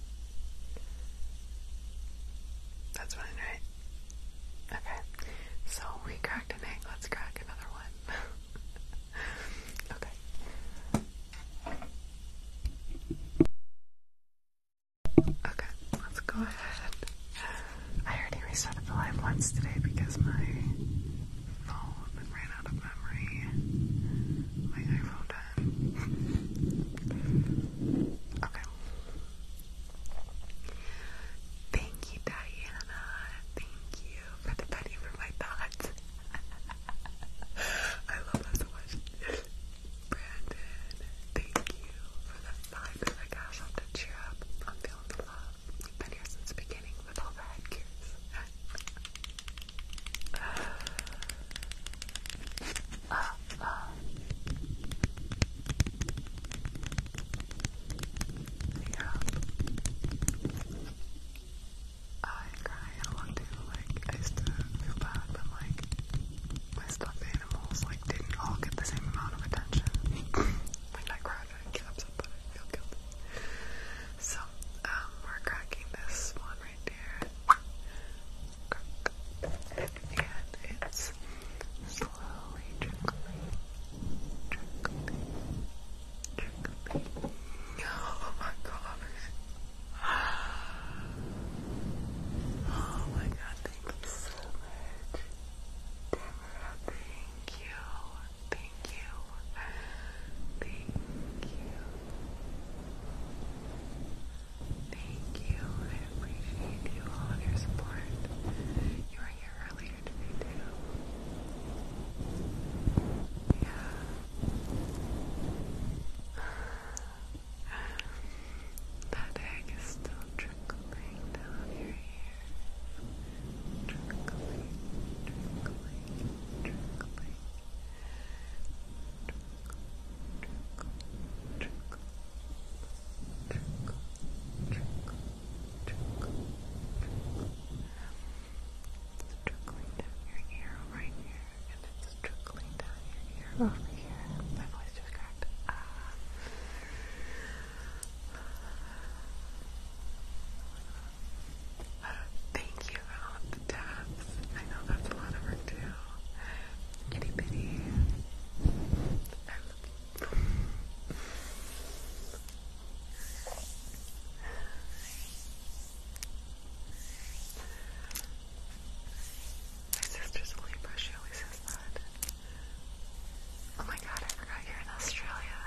That's fine, right? Okay. So we cracked an egg. Let's crack another one. okay. Okay, let's go ahead. I already reset the live once today because my phone ran out of memory. My iPhone Okay. Thank you, Diana. Thank you for the penny for my thoughts. I love that so Brandon, thank you for the five that oh I gosh off the cheer I'm feeling the love. You've been here since the beginning with all the head Ah ah. Yeah. I cry a lot too. Like, I used to feel bad, but like, my stuffed animals like didn't all get the same amount of attention. like, I cried, I get upset, but I feel guilty. So, we're cracking this one and it's slowly trickling, trickling, trickling. Oh my gosh. Oh my god, thank you so much. Tamara, thank you. Thank you. Thank you. Thank you. I appreciate you all of your support. You were here earlier today Yeah. That egg is still trickling down your ear. trickling, trickling. Trickling, it's trickling down your ear right here, and it's trickling down your ear over here. My voice just cracked. Ah. Thank you for all the taps. I know that's a lot of work too. Kitty kitty. My sister's only brush, she always says that. Oh my god, I forgot you're in Australia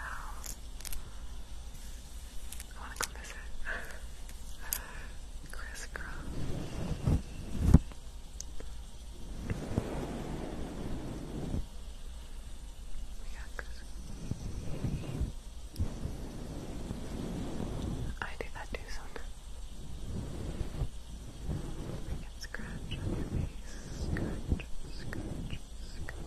I wanna come visit. Criss I do that too sometimes. I can scratch on your face. Scratch, scratch, scratch, scratch.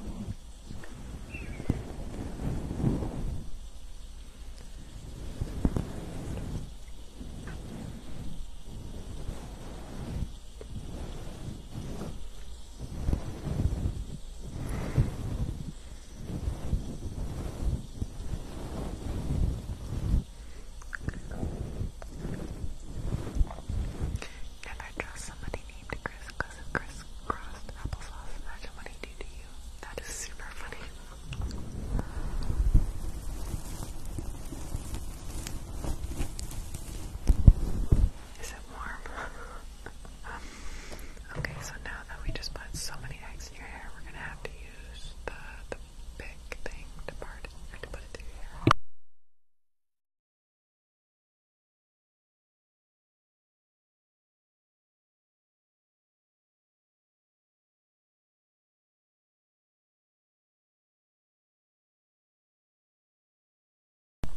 Never trust somebody named Chris crisscrossed applesauce. Imagine what he do to you. That is super funny. Is it warm? okay, so now that we just put so many eggs in your hair, we're gonna have to use the the big thing to part it or put it through your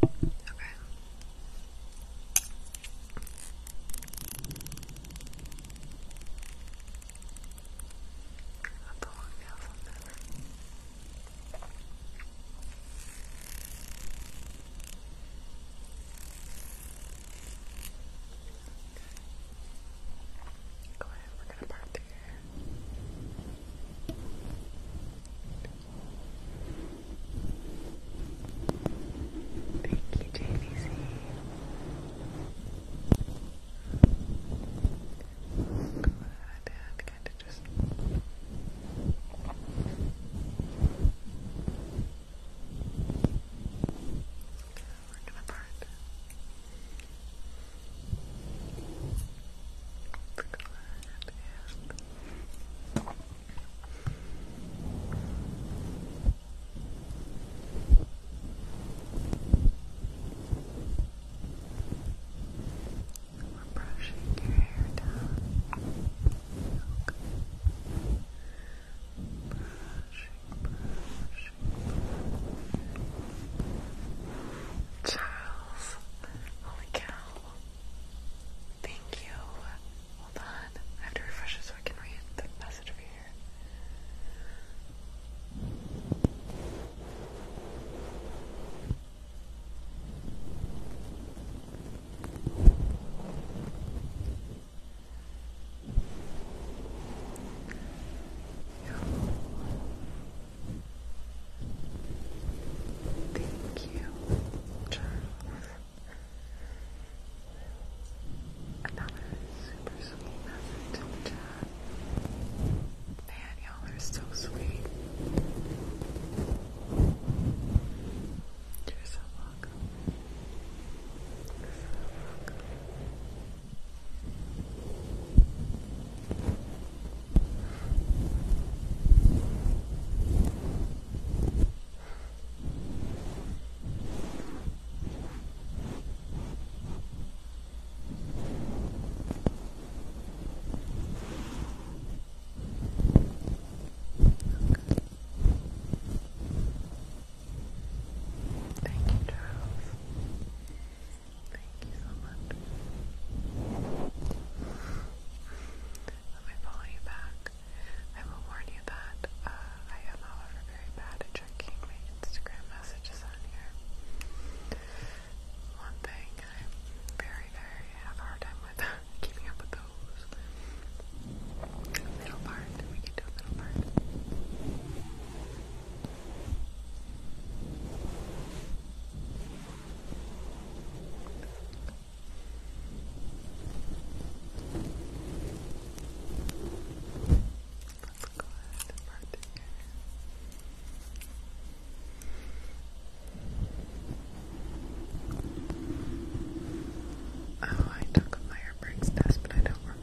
Okay. I'm pulling down Go ahead, we're gonna part through hair. Thank you, JVC. Go ahead and kind of just ripped them apart. We're brushing your hair down. Charles, holy cow. Thank you. Hold on. I have to refresh so I can read the message over here. Thank you, Charles. Another super sweet message Man, y'all are so sweet. You're Thank you, Charles. Thank you so much. Let me follow you back. I will warn you that uh, I am, however, very bad at checking my Instagram messages on here. One thing I very, very have a hard time with keeping up with those. Middle part, we can do a middle part. Let's go ahead and part Oh, I took my airbricks test, but I don't remember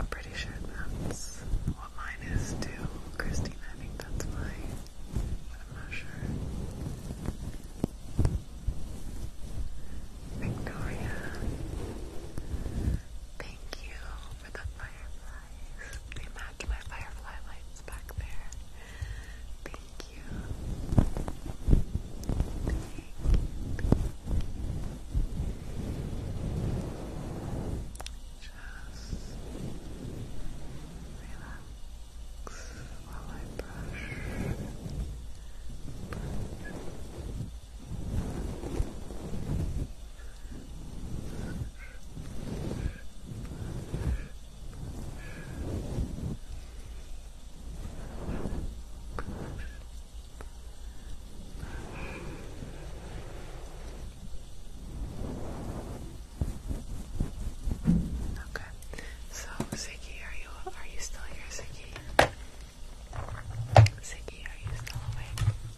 I'm pretty sure that's what mine is too. Christine, I think that's mine, but I'm not sure. Victoria, thank you for the fireflies. They match my firefly lights back there. Thank you. Just relax while I brush, Okay. So, Ziggy, are you are you still here, Ziggy? Ziggy, are you still awake?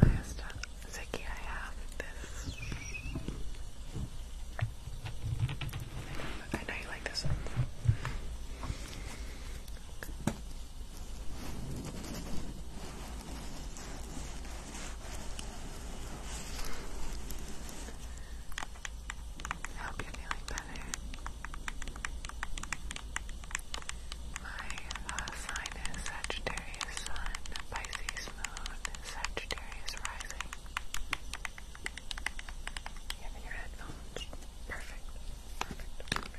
I Ziggy, I have this. I know, you like this one. I hope you're feeling better. My uh, sign is Sagittarius Sun, Pisces Moon, Sagittarius Rising. You have your headphones? Perfect. Perfect. Perfect.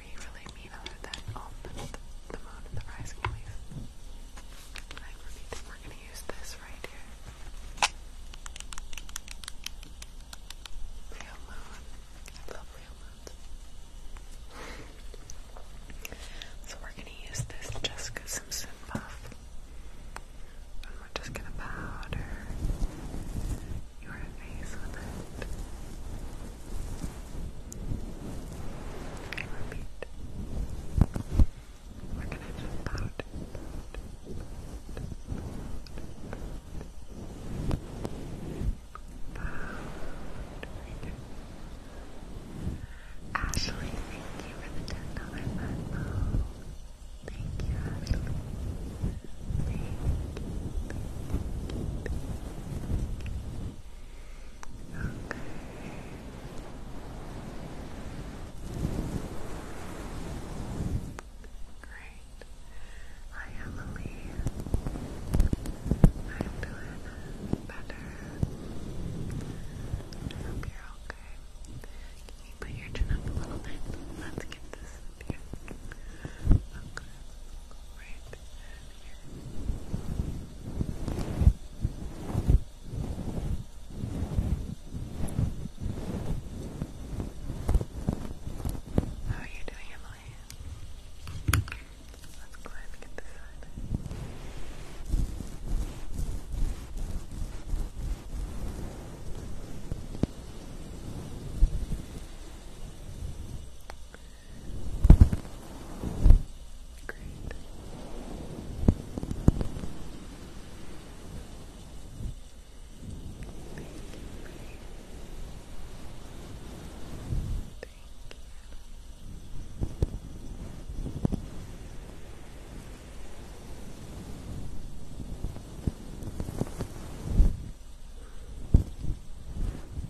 three really mean other than oh, the, moon and the rising leaf. I really we're gonna use this right here. Real moon. I love real moons. So we're gonna use this Jessica Simpson puff. And we're just gonna powder your face with it. Repeat. We're gonna just pat, pat, pat, Ashley, thank you for the ten dollar Thank you, Great. Hi, Emily. I'm doing better. I hope you're okay. Can you put your chin up a little bit? Let's get this here. How are you doing, Emily? Let's go ahead and get this side. Great. Thank you. Thank you. Thank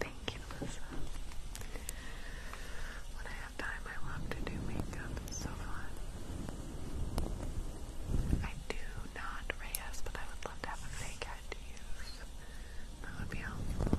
Thank you, Melissa. When I have time, I love to do makeup. It's so fun. I do not, Reyes, but I would love to have a fake head to use. That would be helpful.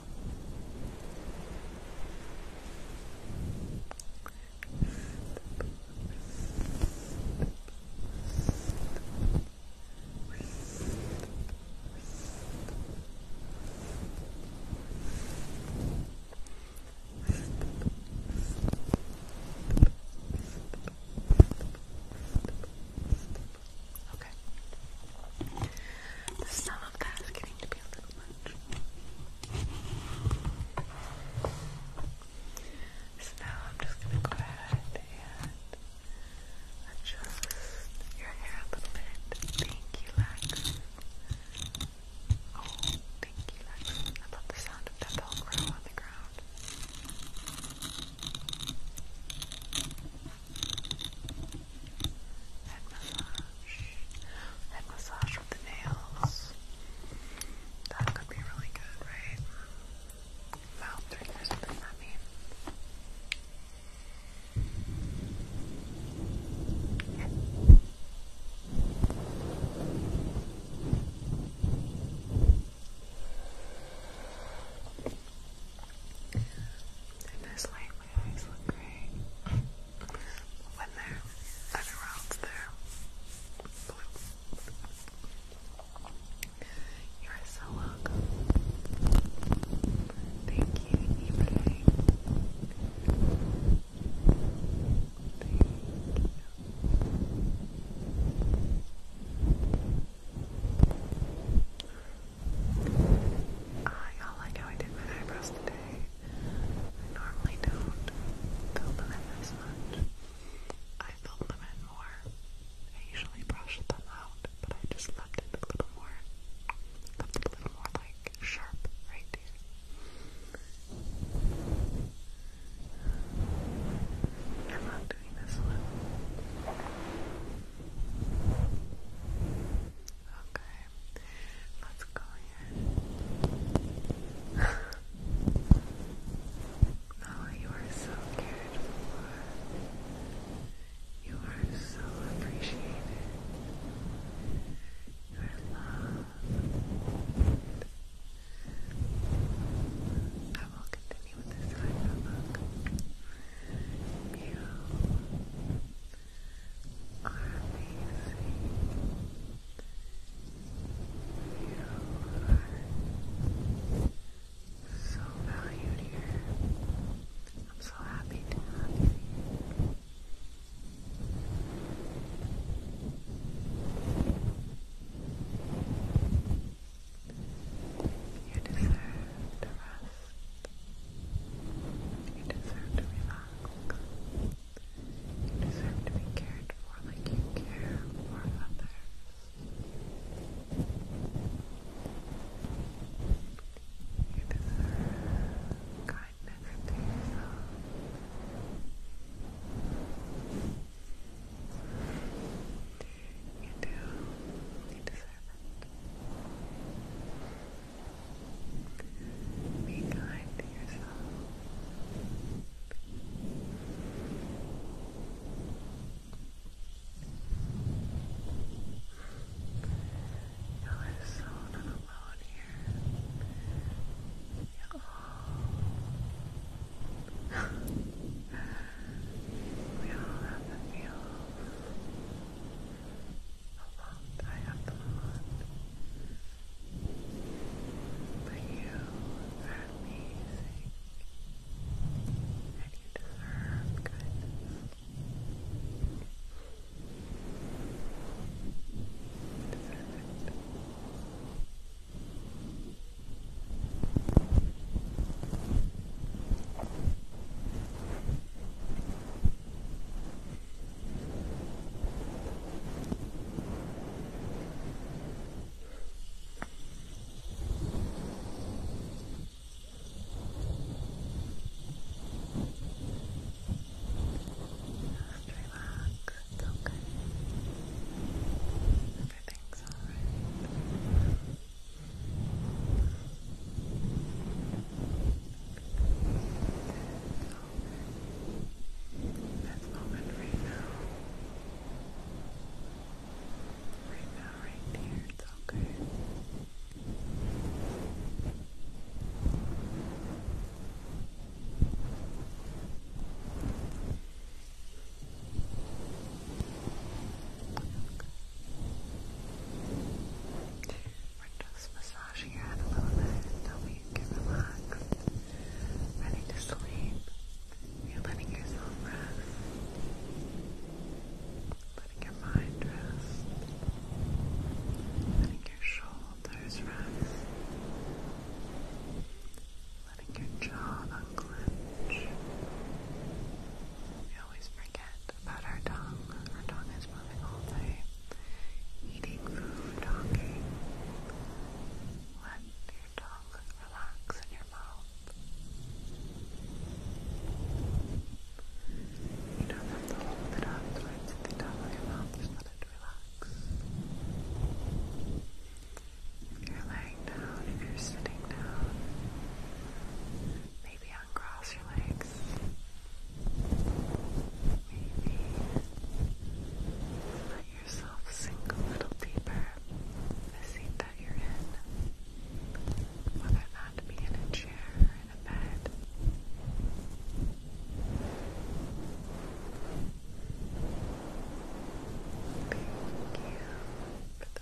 Okay. Some of that is getting to be a little much. So now I'm just going to go ahead and adjust your hair a little bit. Thank you, Lex. Oh, thank you, Lex. I love the sound of that velcro on the ground. Head massage. Head massage with the nails. That could be really good, right? Mouth drink or something, I mean. Yeah. this light my eyes look grey. when they're around there. You're so welcome. Thank you, Ibrahim. Thank you. I ah, like how I did my eyebrows today. I normally don't fill them in this much. I filled them in more. I usually brush them out, but I just left it a little more left it a little more like sharp right there. I love doing this one. Okay. Okay, let's go here. oh, you are so cared for. You are so appreciated. You are I will continue with this side book. You are amazing. You are so valued here. I'm so happy to have you You deserve the rest. You deserve to relax. You deserve to be cared for like you care for others. You deserve kindness to yourself. You do. You deserve it. Be kind to yourself. You are so not alone here. we all have the feels how long I have them on. But you are amazing. And you deserve kindness. Just relax, it's okay. Everything's alright. That moment right now. Right now, right there, it's okay. We're just massage your head a little bit, help you get relaxed, ready to sleep. You're letting yourself rest, letting your mind rest, letting your shoulders rest, letting your jaw unclench. We always forget about our tongue. Our tongue is moving all day. Eating food, talking. Let your tongue relax in your mouth. You don't have to hold it up towards the top of your mouth, just let it relax. If you're laying down, if you're sitting down, Maybe uncross your legs. Maybe let yourself sink a little deeper in the seat that you're in, whether that be in a chair or in a bed. Thank you for the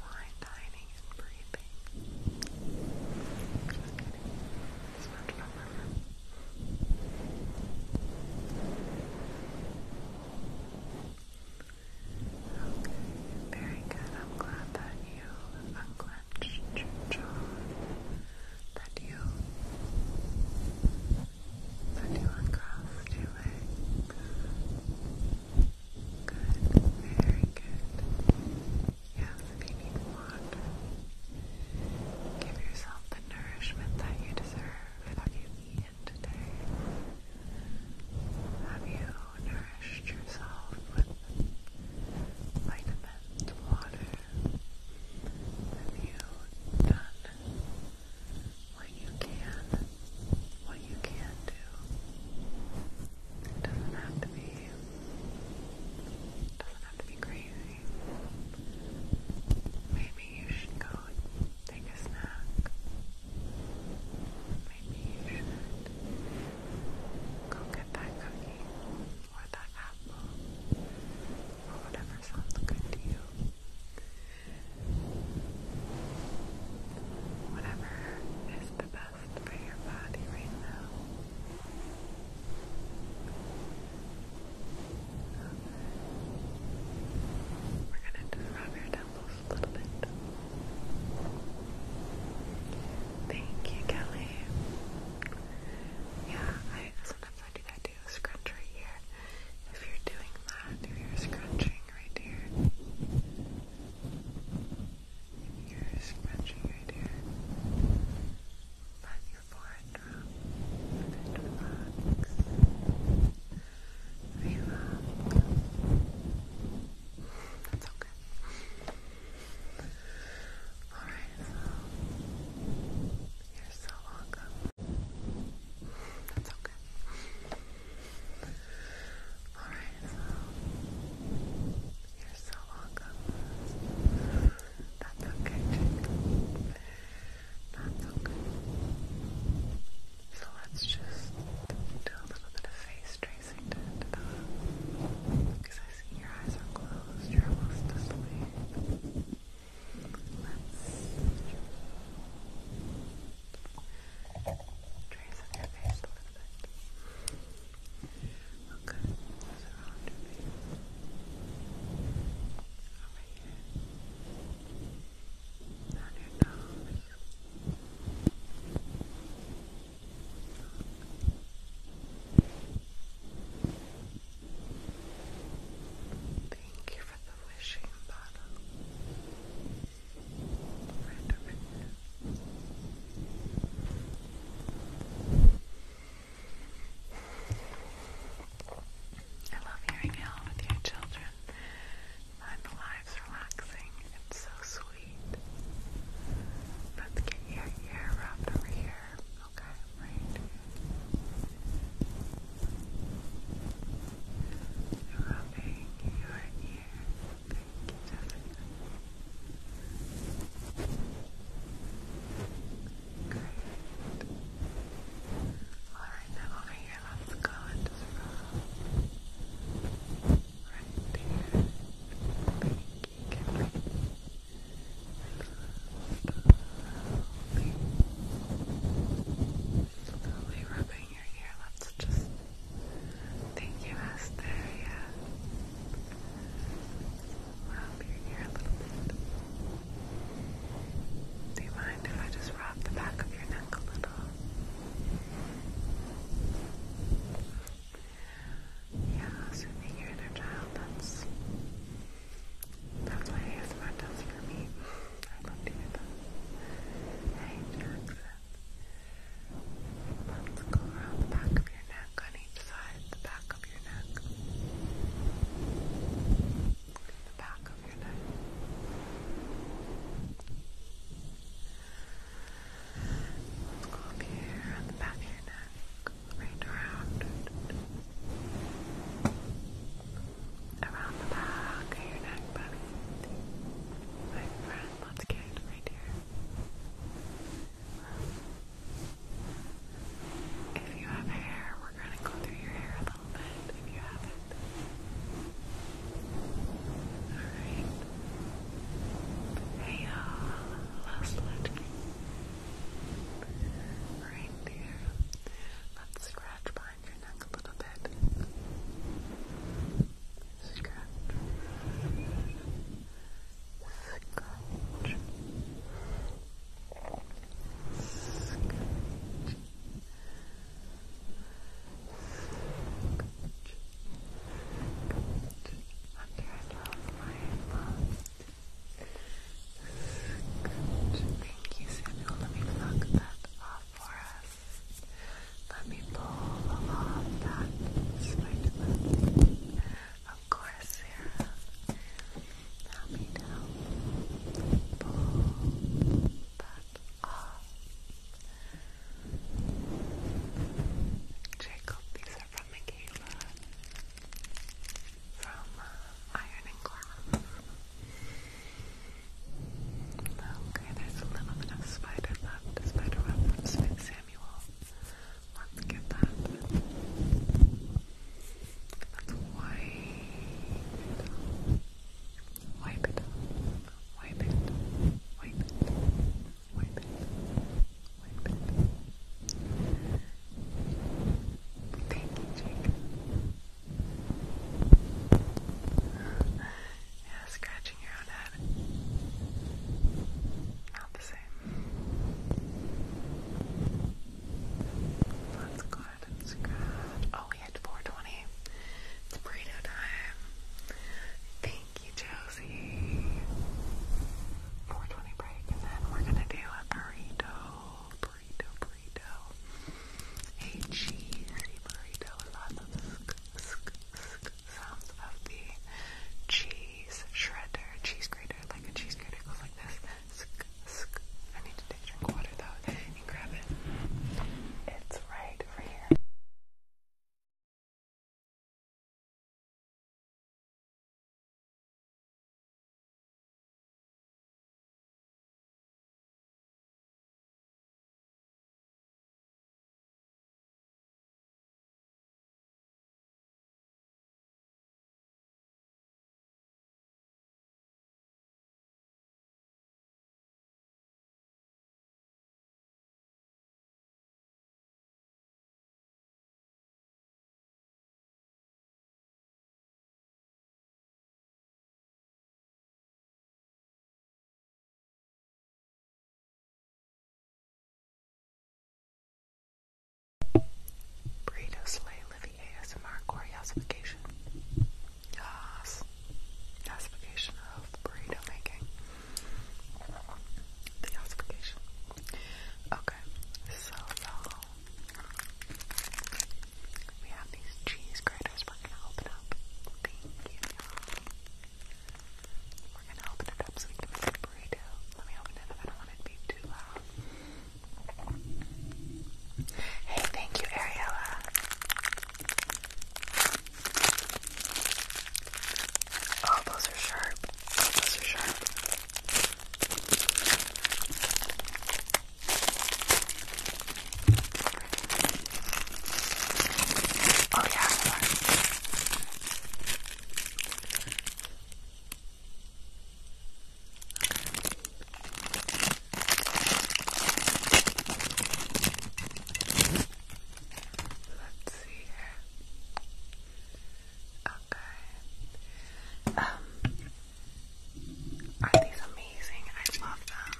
fine dining and breathing. Just kidding. Okay, very good. I'm glad that you unclenched your jaw. That you that you uncrossed your legs. Good, very good. Yes, if you need water, give yourself the nourishment that you deserve, that you today? Have you nourished yourself with vitamins, water? Have you done what you can, what you can do? It doesn't have to be, doesn't have to be crazy. Maybe you should go food, take a snack. Maybe you go get that cookie or that apple or whatever sounds good to you. Whatever is the best for your body right now. We're gonna just rub your temples a little bit. Thank you, Kelly. Yeah, sometimes I do that too. Scrunch right here. If you're doing that, if you're scrunching right here. you're scrunching right here. Let your forehead relax. Relax. That's okay. Alright, you're so welcome. That's okay. Alright, so you're so welcome. That's okay, that's okay. So let's just do a little bit of face tracing to Because I see your eyes are closed, you're almost asleep. Let's trace on your face a little bit. Okay, Over here. Thank you for the wishing bottle. I love hearing out with your children. Life's relaxing. It's so sweet. Let's get your ear wrapped over here. Okay, right. Rubbing your ear. Thank Alright, now over here let's go into the room. Right here. Pinky can be slowly, slowly rubbing your ear. Let's just think you asked yeah. Rub your ear a little bit. Do you mind? mind if I just rub the back of your neck a little? Yeah, soothing your inner child, that's that's what ASMR does for me. I love doing that. Hey, Jackson. go around the back of your neck on each side, the back of your neck the back of your neck. up here on the back of your neck, right around around the back of your neck, buddy. My friend, let's get right here. If you have hair, we're gonna go through your hair moment you Hey y'all, Leslie. Right there. Let's scratch behind your neck a little bit. Scratch. Scratch. Scratch. Good. Thank you, Samuel. Let me plug that off for us. Let me pull off that spider Of course, Sarah. Help me Pull that off. Jacob, these from Michaela from uh, Iron and Glass. Okay, there's a little bit of spider left, spider web from Smith Samuel. Let's get that. That's white. Wipe it. Wipe it. Wipe it. Wipe it. Wipe it. Thank you, Jake. Yeah, scratching your own head. Not the same. Let's go Oh, we hit 420. It's burrito time. Thank you, Josie. 420 break, and then we're gonna do a burrito, burrito, burrito. A cheesy burrito lots of sk, sounds of the cheese shredder, cheese grater, like a cheese grater goes like this. I need to take a drink of water though. Let me grab it. It's right over here. Burritos Slay Livy ASMR Choreosification. Yes. Gasification of burrito making. The gasification. Okay, so we have these cheese graters. We're gonna open up. Thank you. We're gonna open it up so we can make burrito. Let me open it up. I don't want it to be too loud. Hey, thank you, Ariella. Oh, those are sharp. Oh, those are sharp. Oh, yeah. Okay. Let's see Okay. Um, are these amazing? I love them.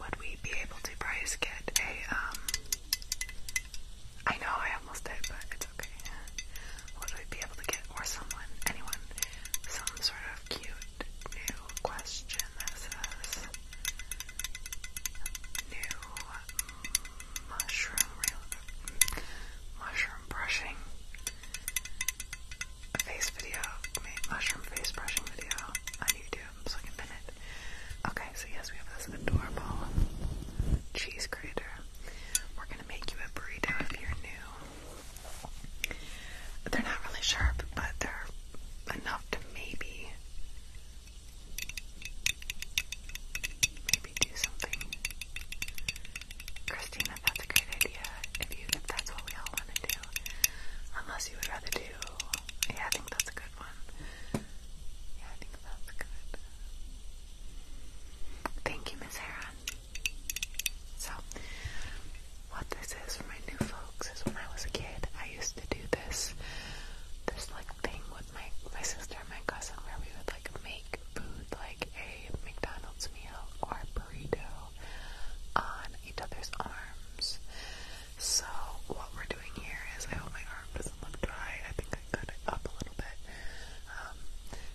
Would we be able to price get a um? I know I almost did, but it's okay. Would we be able to get or someone, anyone, some sort of cute new question that says new mushroom mushroom brushing face video mushroom face brushing video on YouTube so I can pin it. Okay, so yes, we have this adorable cheese grater. We're gonna make you a burrito if you're new. They're not really sharp, but they're enough to maybe maybe do something. Christina, that's a great idea. If you if that's what we all want to do. Unless you would rather do yeah, I think that's a good one. Yeah, I think that's good. Thank you, Miss Heron. So what this is for my new folks is when I was a kid, I used to do this, this like thing with my, my sister and my cousin where we would like make food like a McDonald's meal or burrito on each other's arms. So what we're doing here is, I hope my arm doesn't look dry, I think I cut it up a little bit. Um,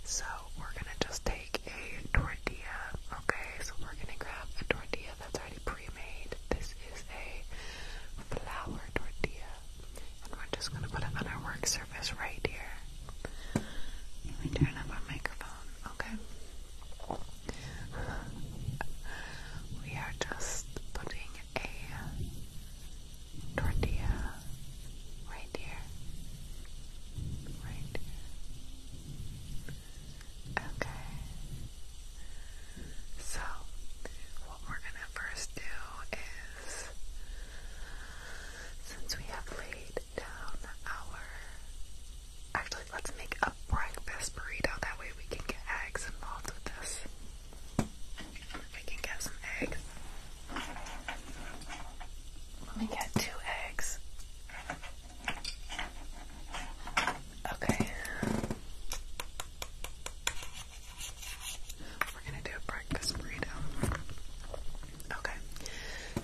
so we're gonna just take a tortilla, okay? So we're gonna grab a tortilla that's already pre-made. This is a flour tortilla. And we're just gonna put it on our work surface right here. Let me turn up our microphone, okay? We are just putting a tortilla right here. Right Okay. So, what we're gonna first do is, since we have laid down our, actually, let's make a breakfast burrito. That way, we can get eggs involved with this. We can get some eggs. Let me get two eggs. Okay. We're gonna do a breakfast burrito. Okay.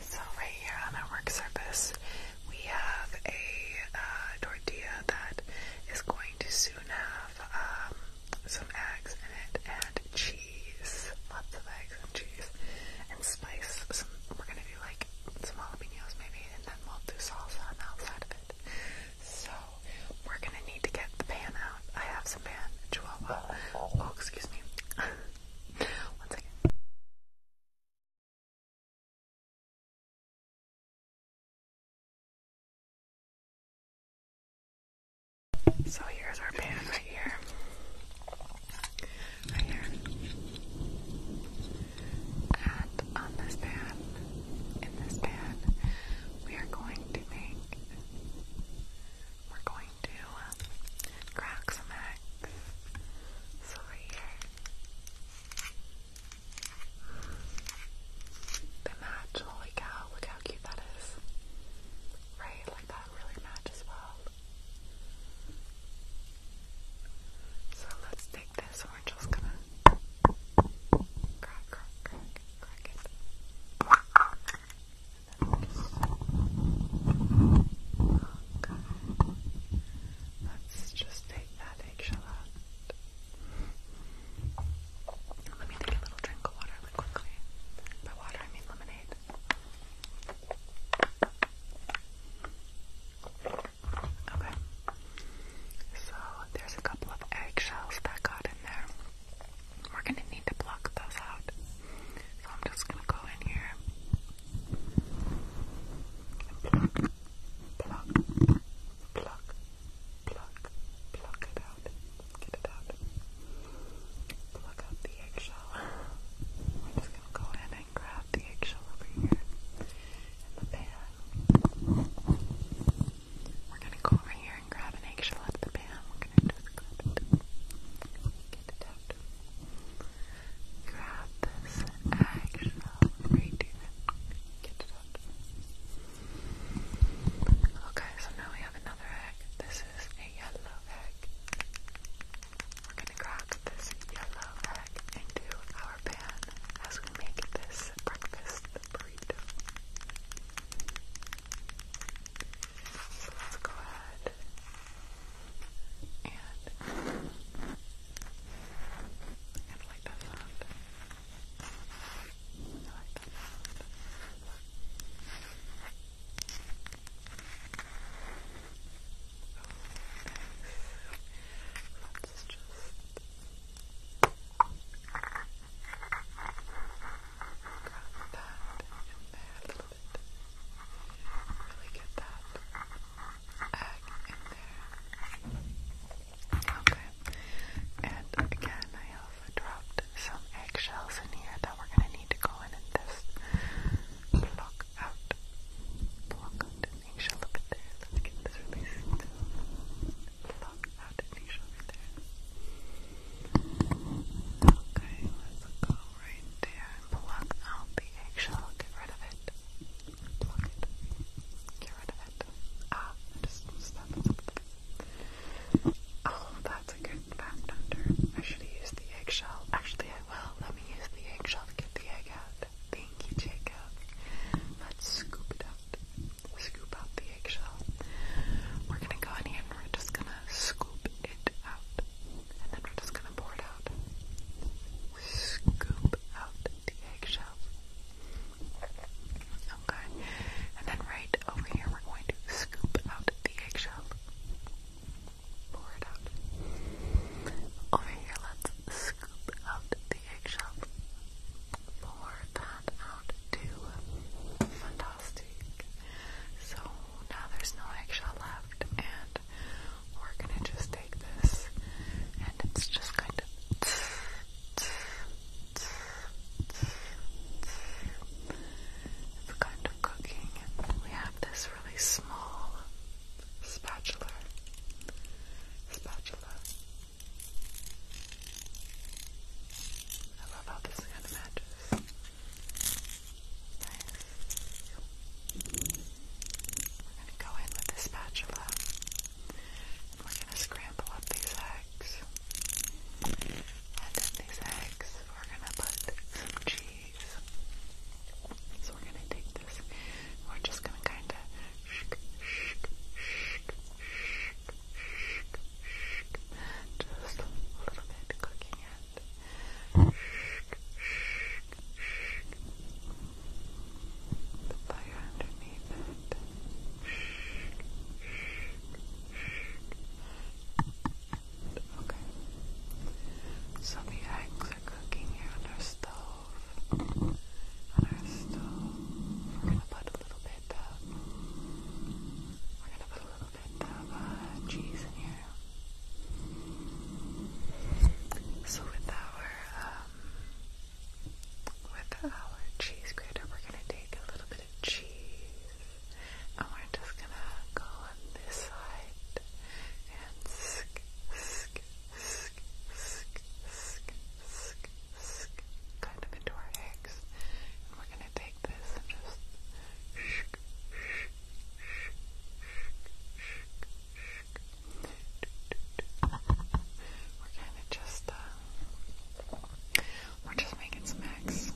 So right here on our work surface, we have a uh, tortilla that is going to soon have um, some eggs in it and cheese, lots of eggs and cheese and spice. we're gonna do like some jalapenos maybe, we'll do salsa on the outside of it. So, we're gonna need to get the pan out. I have some pan, chihuahua. Oh, excuse me. One second. So here's our pan right here. Right here. And on this pan, in this pan, we are going to make, we're going to uh, crack some eggs. So here, they match, holy cow, look how cute that is. Right, like that really matches well. So let's take this one we're just gonna Let's just take that eggshell out. Let me take a little drink of water quickly. By water, I mean lemonade. Okay. So there's a couple of eggshells that got in there. We're gonna need to pluck those out. So I'm just gonna go in here and pluck, pluck, pluck, pluck, pluck it out. Get it out. Pluck out the eggshell. We're just gonna go in, grab the eggshell over here and the pan. We're gonna go over here and grab an eggshell out of the pan. We're gonna just grab it. Get it out. Grab this eggshell right here. Get it out. Okay, so now we have another egg. This is a yellow egg. We're gonna crack this yellow egg into our pan as we make this breakfast burrito. So let's go ahead and, and like that sound. I like that sound. Let's just grab that in there a little bit. Really get that egg in there. Okay. And again, I have dropped some eggshells in here that we're gonna need to go in and just pluck out. Pluck out. Nisha, look there. Let's get this release too. out at Nisha over there. Okay, let's go right there and pluck out the eggshell. Get rid of it. Pluck it. Get rid of it. Ah, just stop Oh, that's a good fact hunter. I should use the eggshell. Actually, I will. Let me use the eggshell to get the egg out. Thank you, Jacob. Let's scoop it up. Scoop out the eggshell. We're gonna go in here and we're just gonna scoop it out. And then we're just gonna pour it out. Scoop out the eggshell. Okay. And then right over here we're going to scoop out the eggshell. Pour it out. Over here, let's scoop out the the eggshell. Pour that out too. Fantastic. So now there's no eggshell left, and we're gonna just take this, and it's just kind of it's kind of cooking. We have this really small spatula, spatula. I love how this kind Nice. We're gonna go in with the spatula, we're gonna scramble up these eggs, and in these eggs we're gonna put some cheese. So we're gonna take this, we're just gonna kind of just a little bit cooking it. The fire underneath it. Okay. So the eggs are cooking here on our stove on our stove we're gonna put a little bit we're gonna put a little bit of cheese in here so with our with our cheese grater we're gonna take a little bit of cheese and we're just gonna go on this side and kind of into our eggs. And we're gonna take this and just shk, shk, shk, shk, shk, shk. We're kind of just, uh, we're just making some eggs.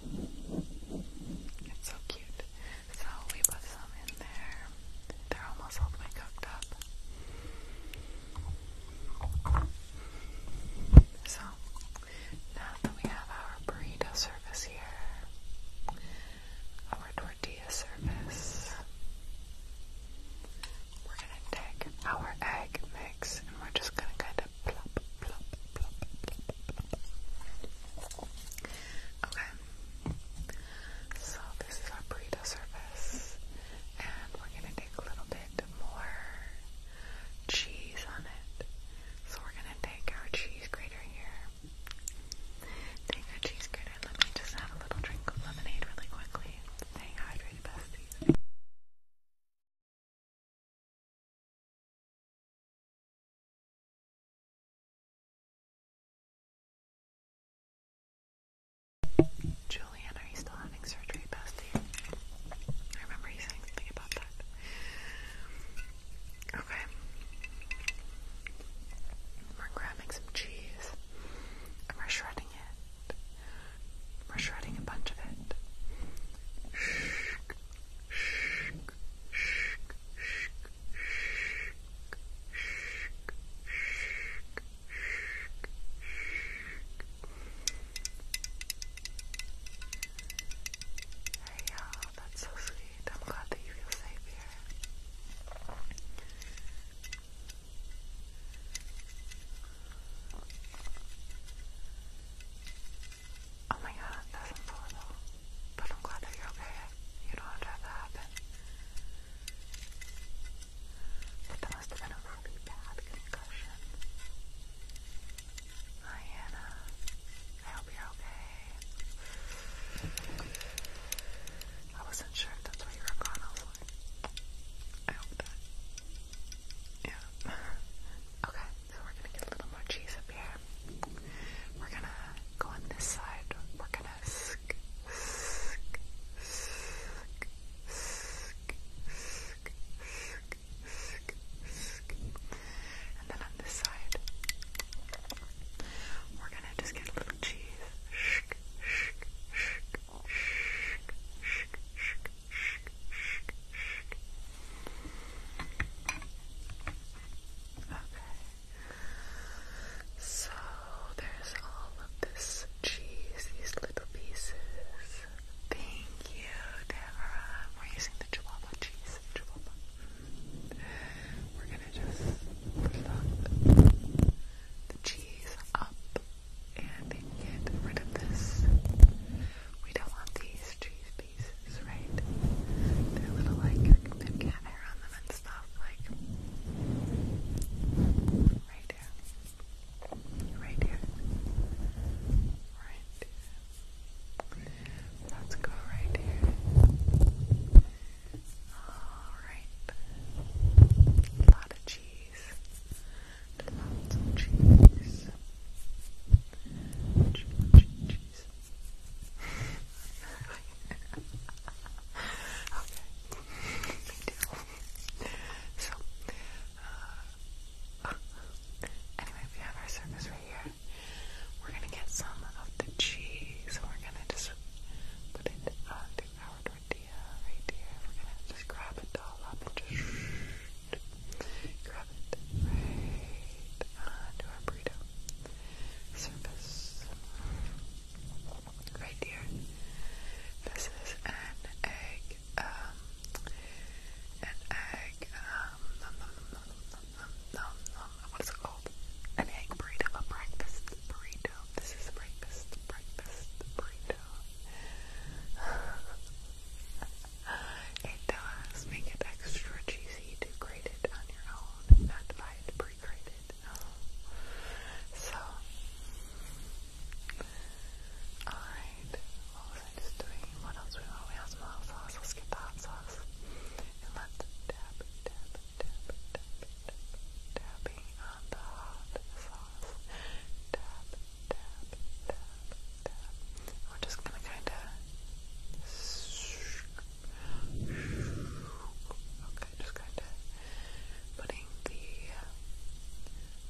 It's so cute. So we put some in there. They're almost all the way cooked up. So, now that we have our burrito service here, our tortilla service, we're gonna take our egg mix and we're just gonna kind of plop, plop, plop, plop, plop. Okay. So, this is our burrito service and we're going to take a little bit more cheese on it. So we're going to take our cheese grater here. Take our cheese grater let me just have a little drink of lemonade really quickly. Staying hydrated, besties. Julian, are you still having surgery, I remember you saying something about that. Okay. We're grabbing some cheese we're shredding it. We're shredding a bunch of it. Hey y'all, that's so sweet. I'm glad that you feel safe here. Oh my god, that's horrible. But I'm glad that you're okay. You don't have to have that happen that must have been a really bad concussion. Hi, I hope you're okay. I wasn't sure if that's why you were gone. I was like, I hope that. Yeah. okay, so we're gonna get a little more cheese up here. We're gonna go on this side. We're gonna and then on this side, we're gonna just get a little cheese. Okay. So there's all of this cheese, these little pieces. Thank you, Deborah. Uh, we're using the chihuahua cheese. We're gonna just plug the cheese up and get rid of this. We don't want these cheese pieces, right? They're little like they've hair on them and stuff, like right here. Right here. Right here. Let's go right here. Alright. A lot of cheese. Lots of cheese. Cheese, cheese, cheese. okay. Me too. so, uh, anyway, we have our surface right here. We're gonna get some of the cheese, so we're gonna just put it onto our tortilla right here. We're gonna just grab it all up and just grab it right onto our burrito surface right here. This is an egg, um, an egg, um, nom nom nom nom nom nom nom, what's it called? An egg burrito, a breakfast burrito. This is a breakfast, breakfast burrito. it does make it extra cheesy to grate it on your own, not buy pre-grated. So, Alright, what was I just doing? What else we want? We have some hot sauce, let's get the hot sauce. And let dab, dab, dab, dab, dab, dabbing on the hot sauce. Dab, dab, dab, dab. we're just gonna kinda Okay, just kinda putting the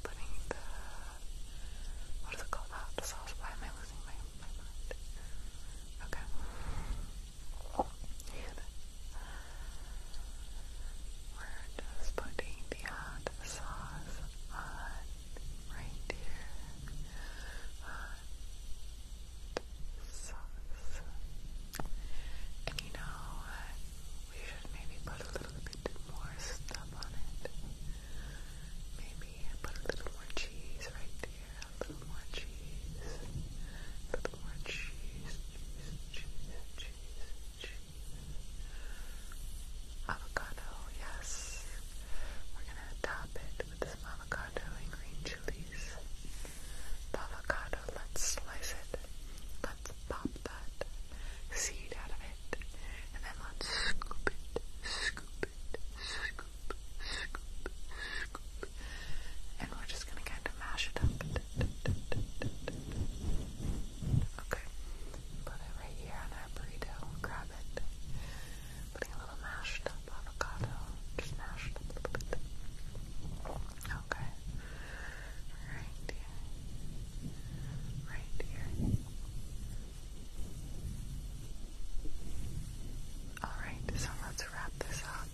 putting the what is it called? Hot sauce. Why am I losing my mind? Okay. we're just putting the sauce on right here. sauce. And you know We should maybe put a little bit more stuff on it. Maybe put a little more cheese right there. A little more cheese. A little more cheese. Cheese, cheese, cheese, cheese. Avocado, yes. We're gonna top it with this avocado and green chilies. avocado, let's slice it let's pop that seed out of it, and then let's scoop it, scoop it, scoop, scoop, scoop, and we're just gonna kind of mash it up. Okay, put it right here on our burrito, grab it, putting a little mashed up avocado, just mashed up a little bit. Okay right here, right here. Alright, so let's wrap this up.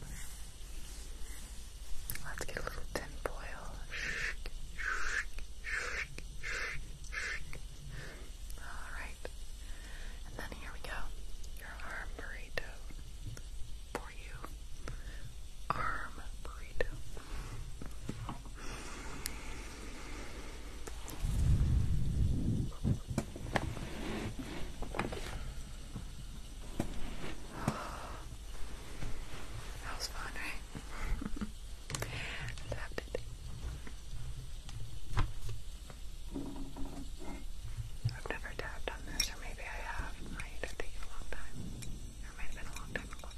Let's get a little tin foil. Alright. And then here we go. Your arm burrito. For you. Arm burrito. That was fun, right? loved it. I've never tapped this, or maybe I have. I don't a long time. Or might have been a long time ago.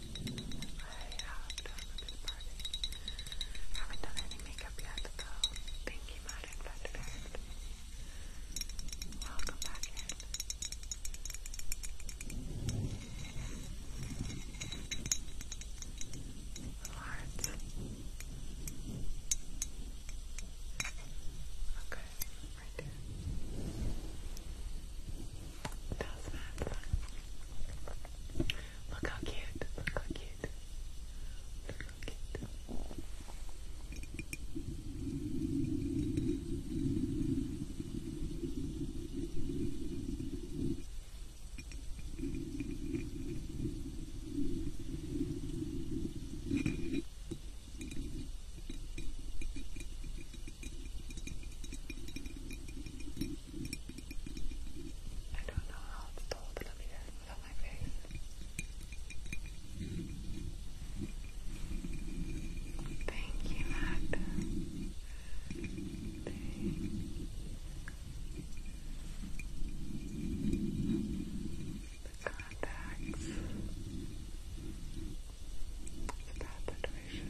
I have done a bit of parting. I haven't done any makeup yet, though. Thank you, Madam Perfect. Welcome back in. Little hearts. Okay, right there. That's that. Look how cute. Look how cute. Look how cute. I don't know how it's told the mirror without my face. Thank you, Matt. The contacts. It's a bad situation.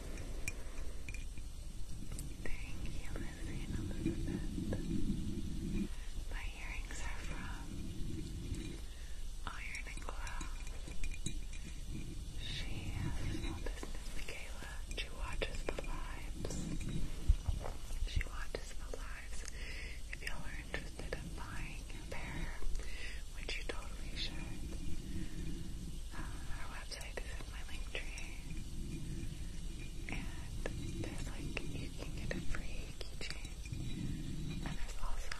Thank you, Lizzie and Elizabeth. My earrings are from Iron and Glow. She has a small business, She watches the lives. She watches the lives. If y'all are interested in buying a pair, which you totally should. Uh, our website is in my link tree, and there's like you can get a free keychain, and there's also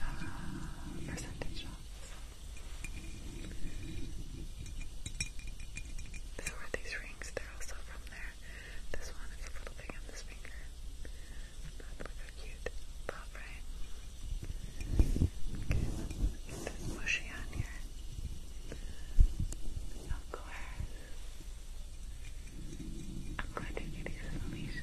um, uh, percentage off. There were these rings. They're also from there. This one is a little big on this finger. That was a cute pop, right? Okay, mushy on here. Of course. I'm going to get you some Alicia.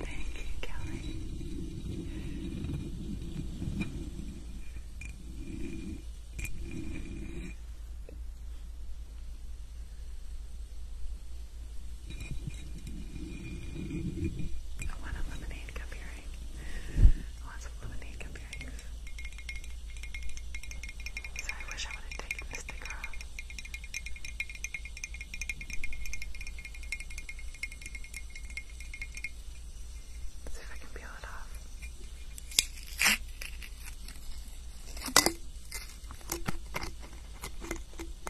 Thank you, Kelly. I want a lemonade cup Lots of lemonade cup okay. So I wish I would have taken the sticker off. Let's see if I can peel it off.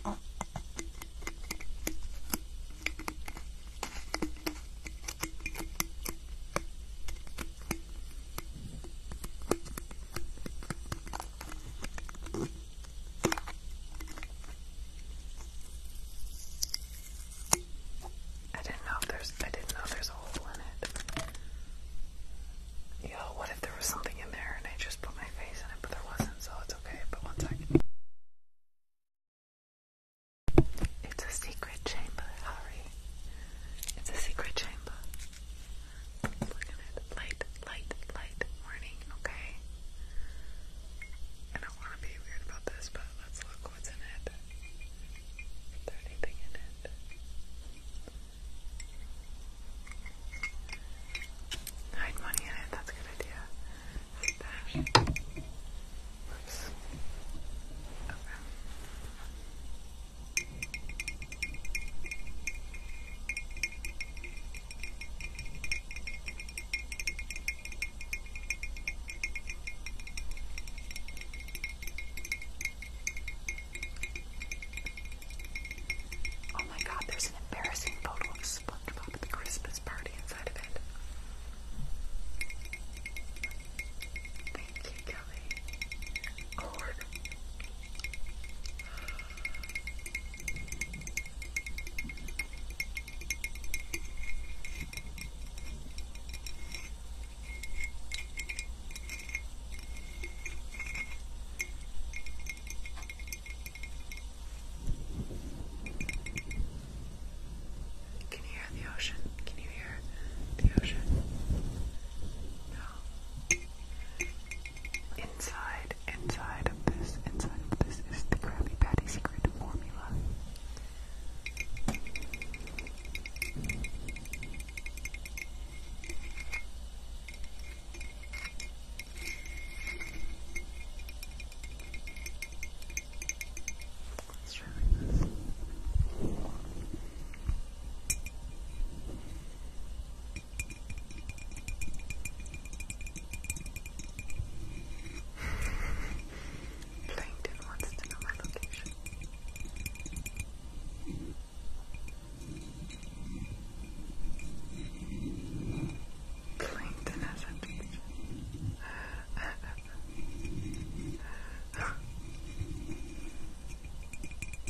Oh. I didn't know there's I didn't know there's a hole in it. Yo, what if there was something in there and I just put my face in it, but there wasn't, so it's okay. But one second. It's a secret chamber, Harry. It's a secret chamber. Look at it. Light, light, light warning, okay? I don't want to be weird about this, but let's look what's in it. Is there anything in it? Hide money in it, that's a good idea. Stash. Oops. Okay. Oh my god, there's an embarrassing photo of SpongeBob at the Christmas party inside of it. Thank you, Kelly. Corn. Can you hear the ocean? Can you hear the ocean? No, Inside, inside of this, inside of this is the Krabby Patty secret formula. Let's try this. Plankton wants to know my location. Plankton has a page.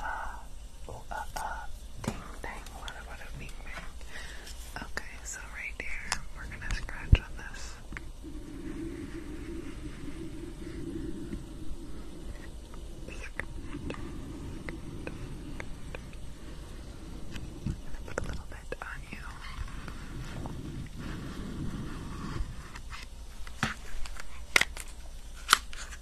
uh, oh, uh, uh, ding dang, what a, what a ding dang. Okay, so right there, we're gonna scratch on this. I'm gonna put a little bit on you. Okay.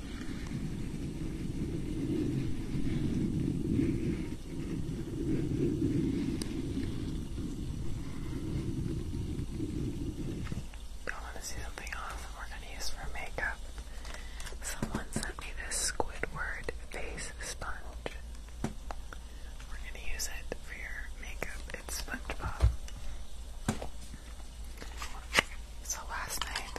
I want to see something awesome we're going to use for makeup. Someone sent me this Squidward face sponge. We're going to use it for your makeup. It's SpongeBob. So last night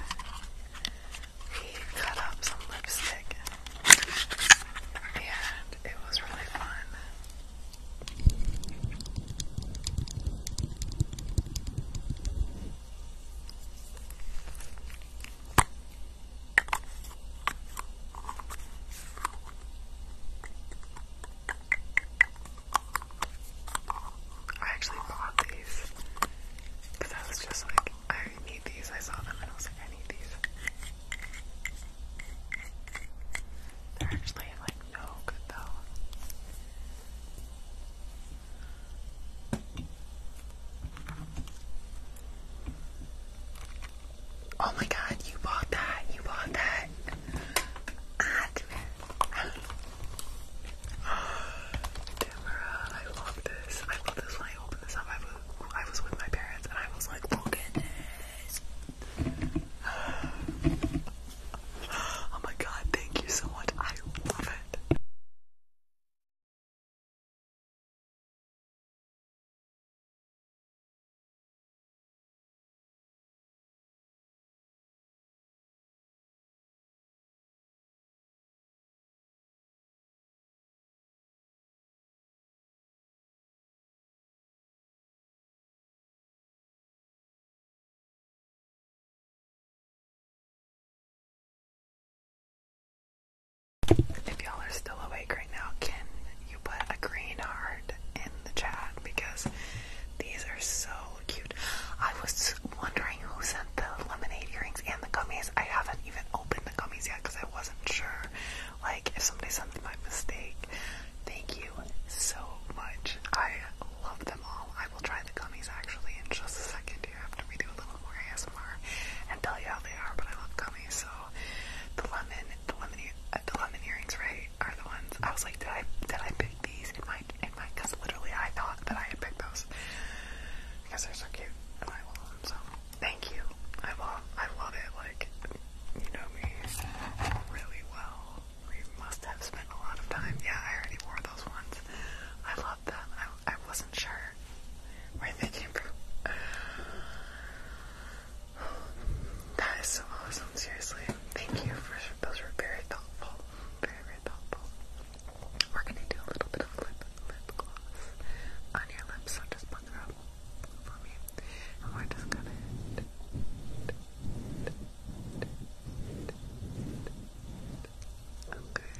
he cut up some lipstick and it was really fun. I actually bought these because I was just like, I I need these. I saw them and I was like, I need these. They're actually like no good though. Oh my god, you bought that, you bought that. Ah, I love this. I love this when I open this up. I was, I was with my parents and I was like, look at this. Oh my god, thank you so much. I love it. If y'all are still awake right now, can you put a green heart in the chat? Because these are so cute. I was wondering who sent the lemonade earrings and the gummies. I have not even opened the gummies yet because I wasn't sure. Like, if somebody sends my mistake, thank you so much. I love them all. I will try the gummies actually in just a second here after we do a little more ASMR and tell you how they are. But I love gummies, so the lemon, the lemon, uh, the lemon earrings, right, are the ones. I was like, did I did I pick these in my in my? Because literally, I thought that I had picked those because they're so cute. Thank you. I love I love it, like you know me really well. We must have spent a lot of time. Yeah, I already wore those ones. I love them. I, I wasn't sure where they came from. That is so awesome, seriously. Thank you for those were very thoughtful. Very, very thoughtful. We're gonna do a little bit of lip gloss on your lips, so just put them up for me. Okay. Okay.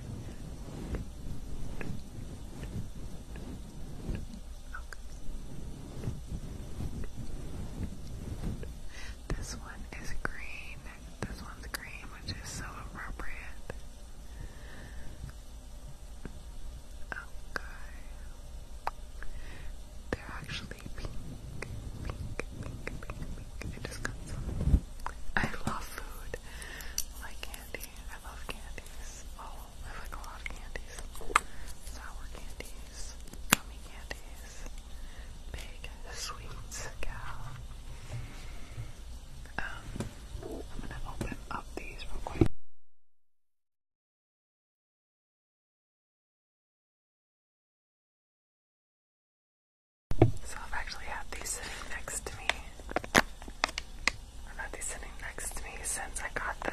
This one is green. This one's green, which is so appropriate. Okay. They're actually pink, pink, pink, pink, pink. I just got some. I love food. I like candy. I love candies. Oh, I like a lot of candies. Sour candies, gummy candies, big sweets, gal. Um, I'm gonna open up these real quick. So I've actually had these sitting next to me. I've had these sitting next to me since I got them.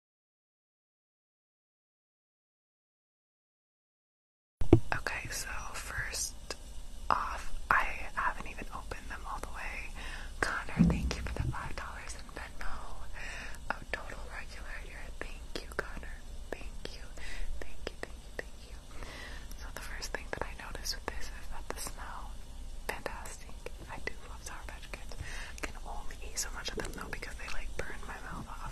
Okay, so first off, I haven't even opened them all the way. Connor, thank you for the five dollars in Venmo. oh, total regular here. Thank you, Connor. Thank you. Thank you, thank you, thank you. So the first thing that I noticed with this is that the smell fantastic. I do love Sour Patch Kids. I can only eat so much of them though because they like burn my mouth off.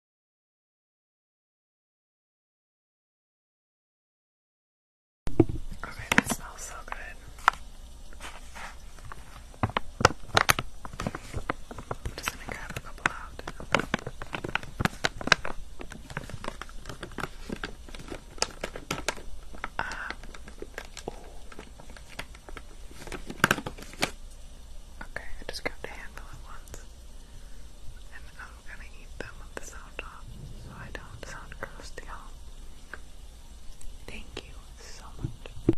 Okay, that smells so good. I'm just gonna grab a couple out. Uh, okay, I just grabbed a handful at once and I'm gonna eat them with the sound off so I don't sound gross to y'all. Thank you so much.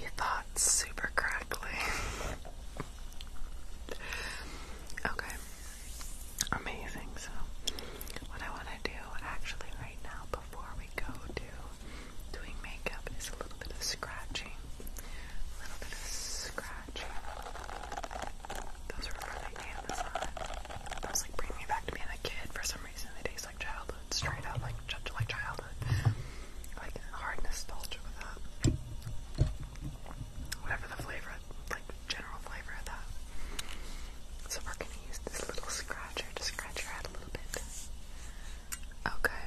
You thought super crackly. okay. Amazing. So, what I want to do actually right now before we go to doing makeup is a little bit of scratching. A little bit of scratching. Those were from the Those like bring me back to being a kid. For some reason, they taste like childhood, straight up like like childhood, like hard nostalgia with that. Whatever the flavor, like general flavor of that. So we're gonna use this little scratcher to scratch your head a little bit. Okay.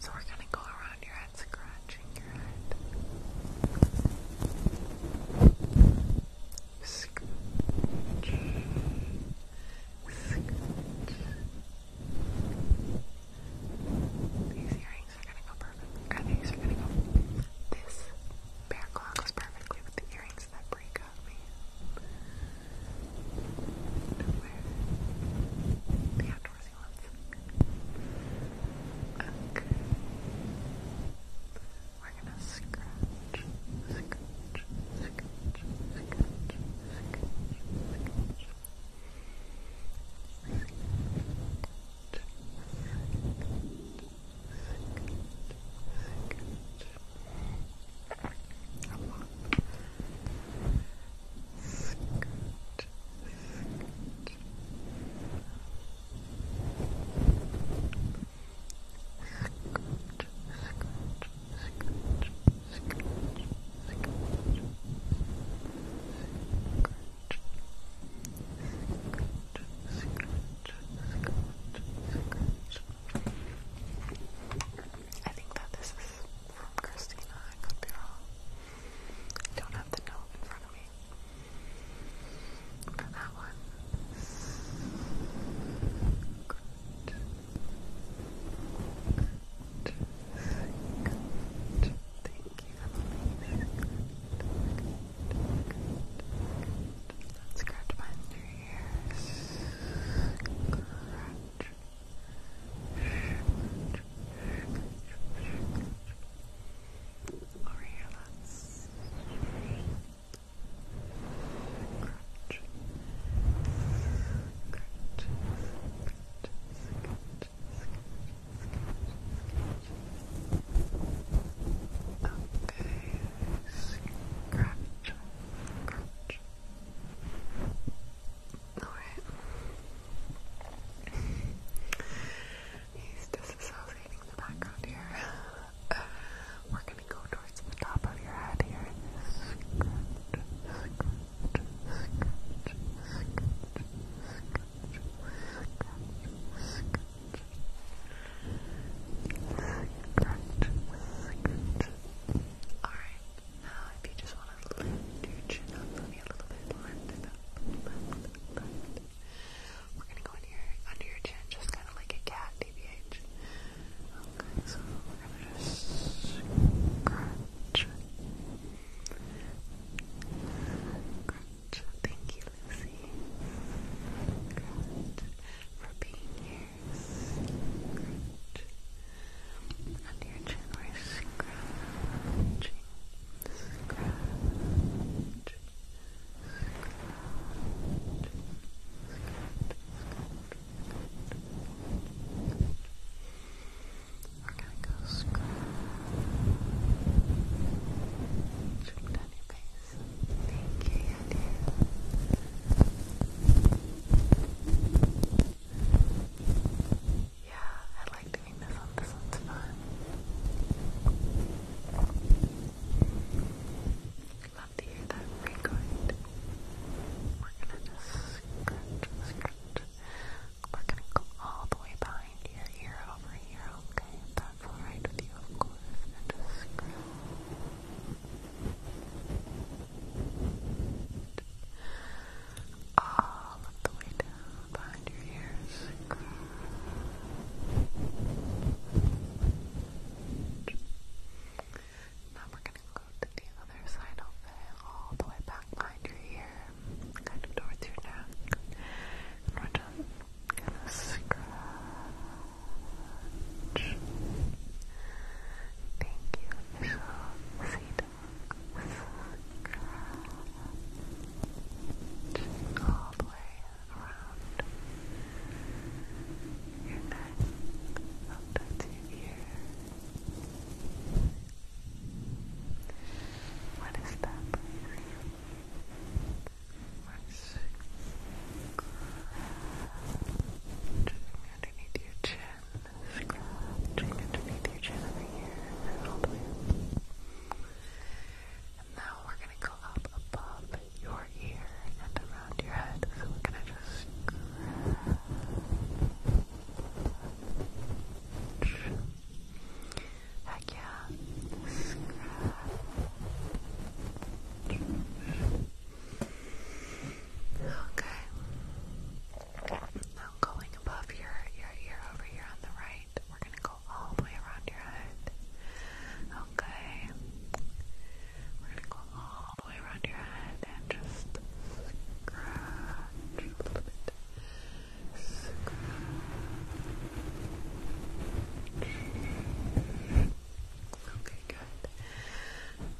So we're gonna go around your head, scratching your head. Scratch. Scratch. These earrings are gonna go perfect. these are gonna go. This bear claw goes perfectly with the earring things that break up me. the outdoorsy ones. Okay. We're gonna scratch, scratch, scratch, scratch, scratch, scratch Secret, secret, secret, secret, I think that this is from Christina. I don't have the note in front of me that one. Good. Good. Good. Thank you, Emily. Good. Good. Good. Good. Over here, let's crunch, crunch, crunch. Okay, Scratch. Alright. He's disassociating the background here. Uh, we're gonna go towards the top of your head here. Alright, now if you just want to lift your chin up, a little bit, We're going to go in here, under your chin, just kind of like a cat, DBH. Okay, so we're going to just scratch. Scratch. Thank you, Lucy. for being here. And your chin we're scratching, We're gonna go scratch down your face. Thank you, Yeah, I like doing this This one's fun. Love to hear that frequent. We're gonna just scratch, scratch. We're gonna go all the way behind your ear over here, okay? that's alright with you, of course. just Scratch, all of the way down behind your ears. Now we're going to go to the other side of it, all the way back behind your ear, kind of towards your neck. And we're Thank you, so Sea Dogs. All the way around your neck, up to your ear. What is that just scratching underneath your chin, scratching underneath your chin over here, and all the And now we're gonna go up above your ear and around your head, so we're gonna just scratch. Heck yeah, Scratch. Okay. Now going above your your ear over here on the right, we're gonna go all the way around your head. Okay. We're gonna go all the way around your head and just scratch a little bit. Scratch. Okay, good.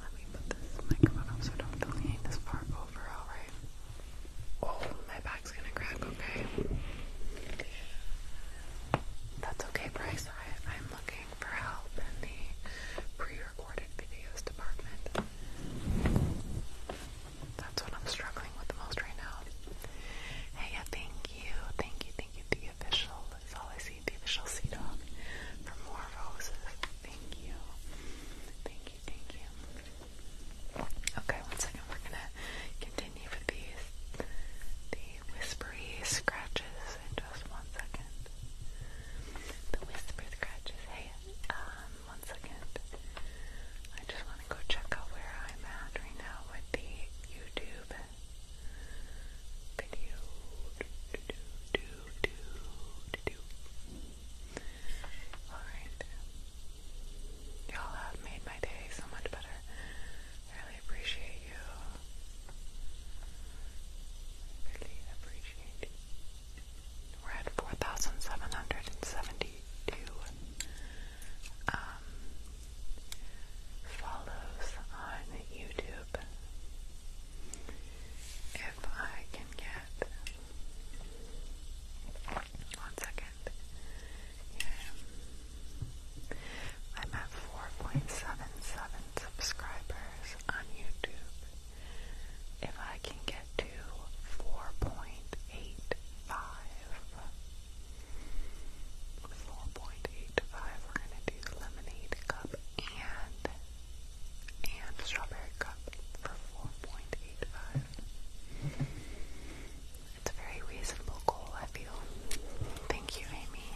Let me put this microphone so I don't delineate this part over, alright? Oh, my back's gonna crack, okay? That's okay, Bryce. I, I'm looking for help in the pre-recorded videos department. That's what I'm struggling with the most right now. Hey, yeah, thank you. Thank you, thank you, the official that's all I see. The official C dog for more roses. Thank you. Thank you, thank you. Okay, one second. We're gonna continue with these the whispery scratches in just one second. The whisper scratches. Hey, um, one second. I just want to go check out where I'm at right now with the YouTube video do do do do do Alright. Y'all have made my day so much better. really appreciate you. Really appreciate We're at 4,772 follows on YouTube if I can get one second. I'm at 4.77 subscribers on YouTube. If I can get to 4.85, 4.85, we're going to do lemonade cup and and Strawberry Cup for 4.85. It's a very reasonable goal, I feel. Thank you, Amy.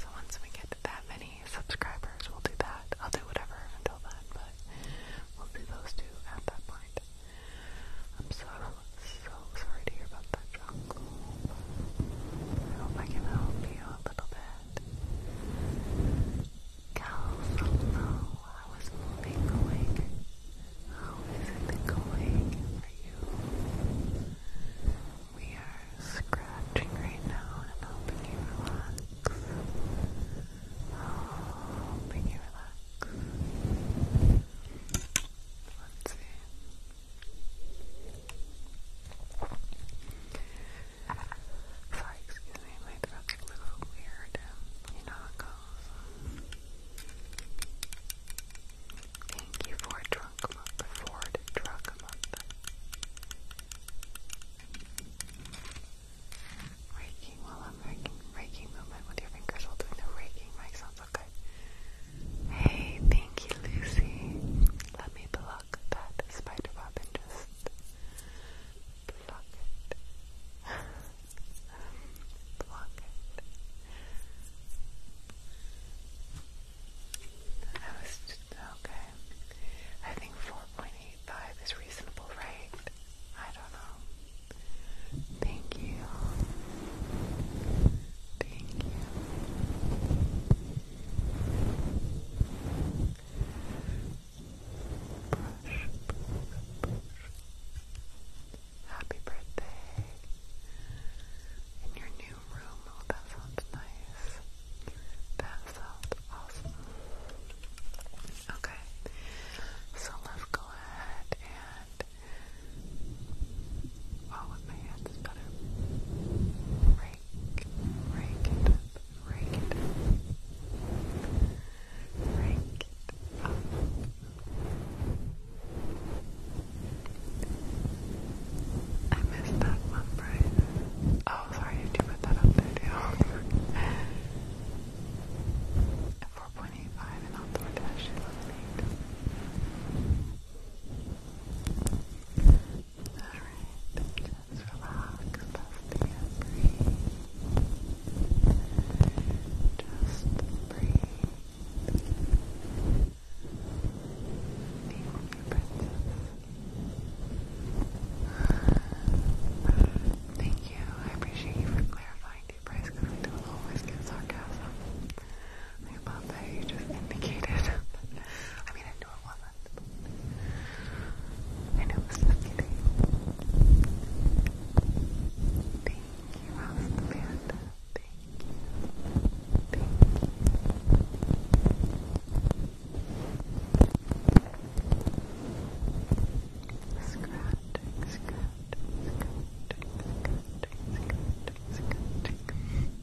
So once we get that many subscribers, we'll do that. I'll do whatever until then, but we'll do those two at that point. I'm so, so sorry to hear about that, Jungle. I hope I can help you a little bit. Go from low. How is moving going? How is it going for you? We are scratching right now and helping you relax. Helping you relax. Let's see. Sorry, excuse me, my throat's a little weird. Um, you know how Thank you for drunk month, Ford drunk month. Raking while I'm raking, raking movement with your fingers while the raking mic okay. Hey, thank you, Lucy. Let me below pluck that spider web and just pluck it. pluck it. I was okay. I think 4.85 is reasonable, right? I don't know. Thank you. Thank you. Happy birthday in your new room. Oh, that sounds nice. That sounds awesome. Okay, so let's go ahead and. Oh, with my hands rake, it up, rake it up, rake it up. I missed that one, Brian. Oh, sorry, you put that up there too. At 4.85 and on DoorDash, she loves Alright, just relax, let breathe. Just breathe. Thank you, I appreciate you for clarifying the price because I do always get sarcasm. I thought that you just indicated. I mean, I knew it wasn't I know it's not Thank you, House Thank you. Thank you. Scratching, scratching, scratching, scratching, scratching,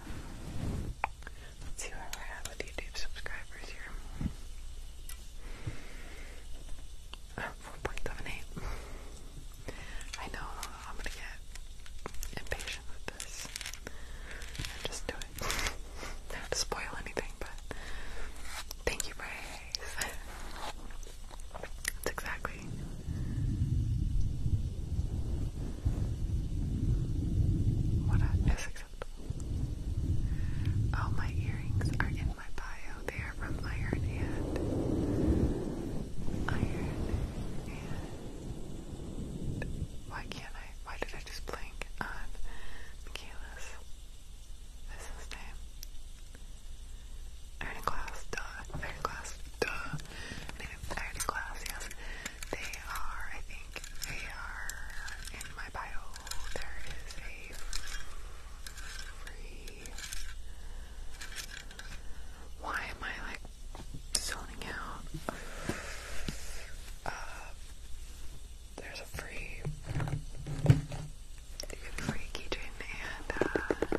Let's see where we're with YouTube subscribers here. Uh, 4.78. I know I'm gonna get impatient with this and just do it. Not spoil anything, but thank you, Bryce. That's exactly what is oh, my earrings are in my bio. They are from Iron Hand. Iron Hand. Why can't I? Why did I just blink on Michaela's business name? Iron Glass, duh. Iron Glass, duh. Iron Glass, yes. They are, I think, they are in my bio. There is a free. Why am I like zoning out? Uh, there's a free. You get free keychain and uh,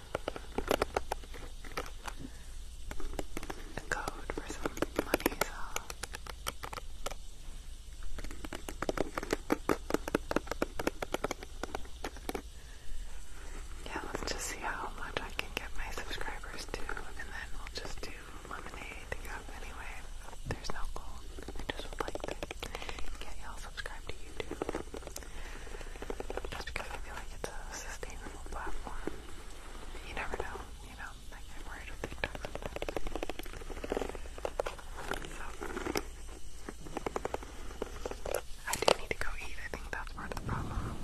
a code for some money, so. Yeah, let's just see how much I can get my subscribers to, and then we'll just do lemonade up anyway. There's no goal. I just would like to get y'all subscribed to YouTube. Just because I feel like it's a sustainable platform you never know, you know, like I'm worried with TikTok So, I do need to go eat, I think that's part of the problem.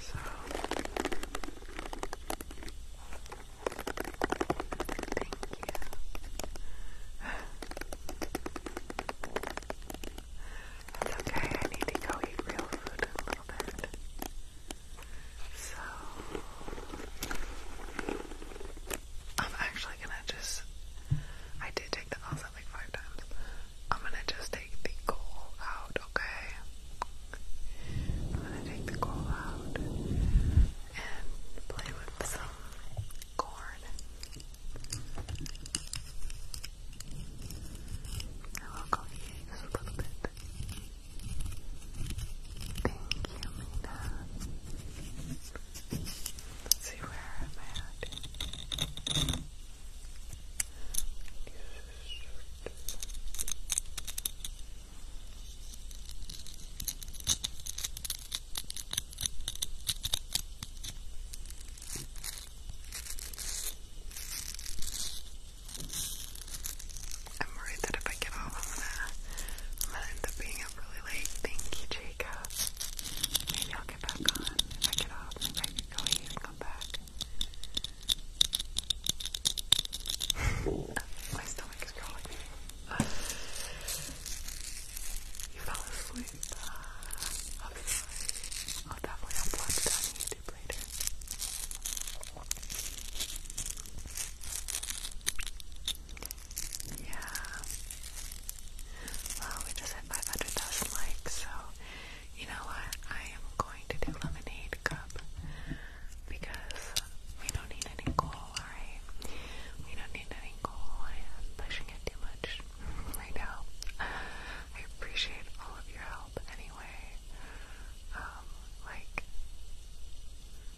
So, it's okay, I need to go eat real food a little bit. So, I'm actually gonna just. I did take the LSAT like five times. I'm gonna just take the goal out, okay? I'm gonna take the coal out and play with some corn. I will go eat just a little bit. Thank you, Mina. Let's see where I'm at. I'm worried that if I get off, I'm gonna, end up being up really late. Thank you, Jacob. Maybe I'll get back on. If I get off, maybe I can go ahead and come back. My stomach is growling. You fell asleep. Uh, I'll definitely upload it YouTube later. Yeah. Well, we just hit 500,000 likes, so you know what? I am going to do lemonade cup because we don't need any goal, alright? We don't need any goal. I am pushing it too much right now. I appreciate all of your help anyway. Um, like,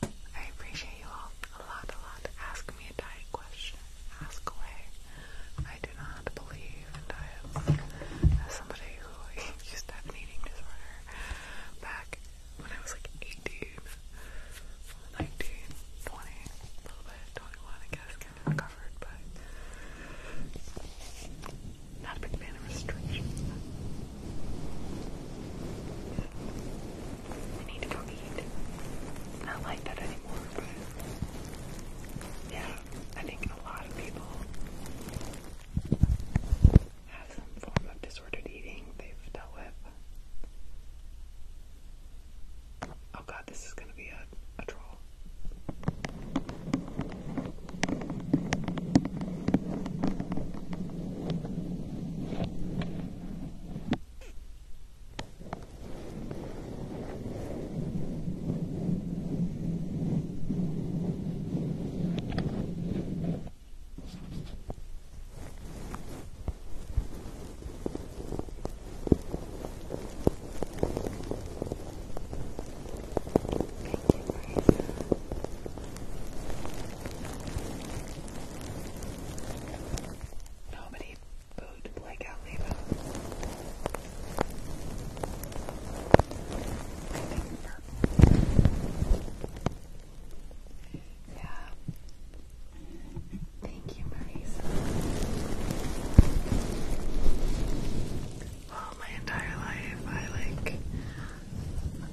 I appreciate you all a lot, a lot. Ask me a diet question. Ask away. I do not believe in diets. As somebody who used an eating disorder back when I was like 18, a little bit, 21, I guess, kind of recovered, but not a big fan of restrictions. I need to go eat. not like that anymore, but yeah, I think a lot of people have some form of disordered eating they've dealt with. Oh god, this is gonna be a, a troll. Nobody booed Blake out Leva. I think purple. Yeah. Thank you, Marisa. Well, my entire life, I like,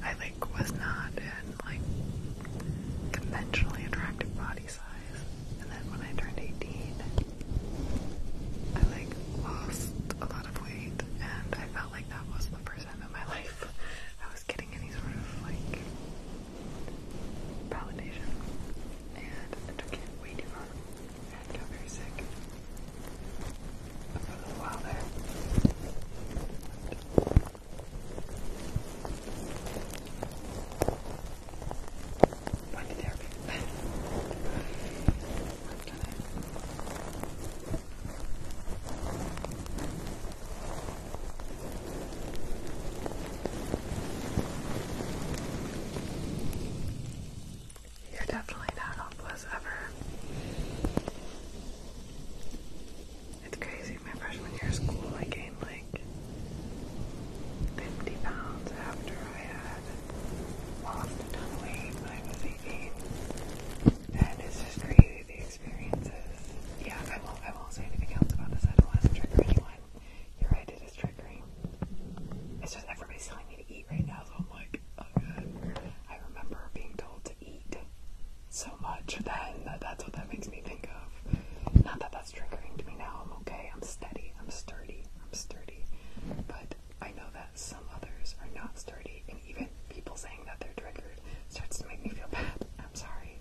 I like was not in like conventionally attractive body size, and then when I turned 18, I like lost a lot of weight, and I felt like that was the first time in my life I was getting any sort of like validation, and I took it way too far and got very sick for a little while there. Went to therapy. You're definitely not hopeless ever. It's crazy. My freshman year of school, I gained like 50 pounds after I had lost a ton of weight I was 18. And just crazy experiences. Yeah, I won't. I won't say anything else about this. I don't want to trigger anyone. You're right. It is triggering. It's just everybody's telling me to eat right now, so I'm like, oh god. I remember being told to eat so much then that that's what that makes me think of. Not that that's triggering to me now. I'm okay. I'm steady. I'm sturdy. I'm sturdy. But I know that some others are not sturdy and even people saying that they're triggered starts to make me feel bad. I'm sorry.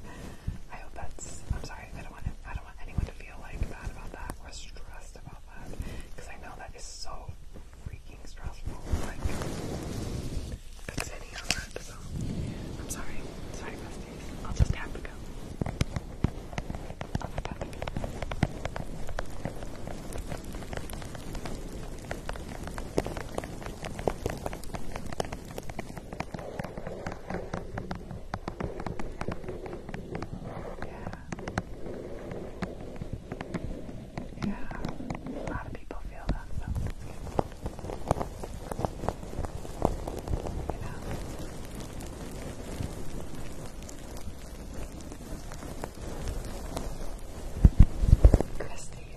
I hope that's. I'm sorry. I don't want. To, I don't want anyone to feel like bad about that or stressed about that because I know that is so freaking stressful. Like that's any on that. So I'm sorry. Sorry, besties. I'll just have to go. I'll just have to go. Yeah. Yeah. A lot of people feel that, You know? Christy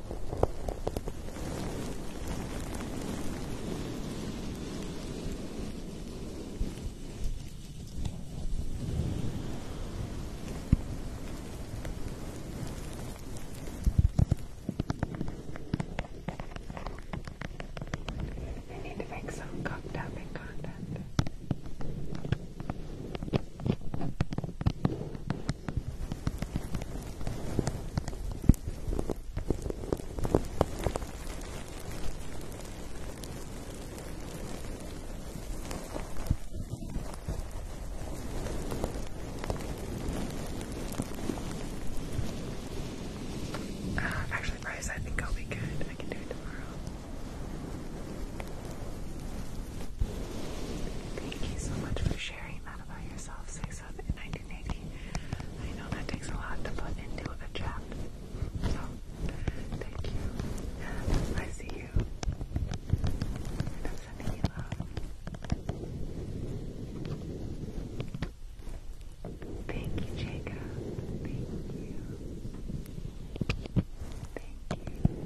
I need to make some cock tapping content. Uh, actually, Bryce, I think I'll be good. I can do it tomorrow. Thank you so much for sharing that about yourself, in 1980. I know that takes a lot to put into a chat. So, thank you. I see you. sending you love. Thank you, Jacob. Thank you. Thank you.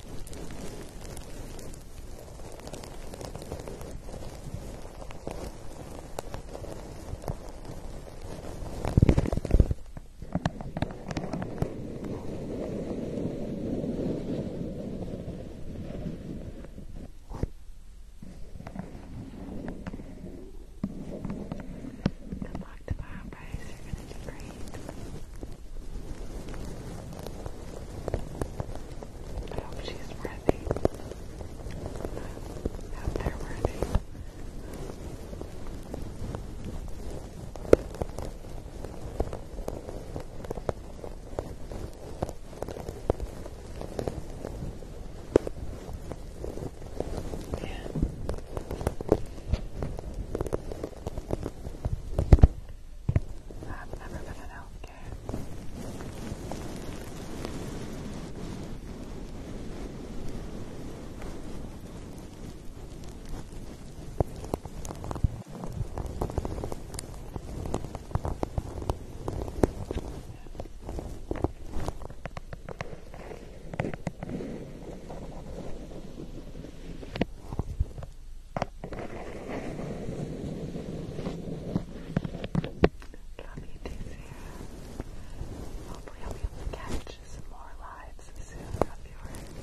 Good luck tomorrow, guys. You're gonna do great. I she's worthy. I hope they Yeah. I've never been in healthcare. Love you too, Sarah. I'll catch some more lives soon of yours.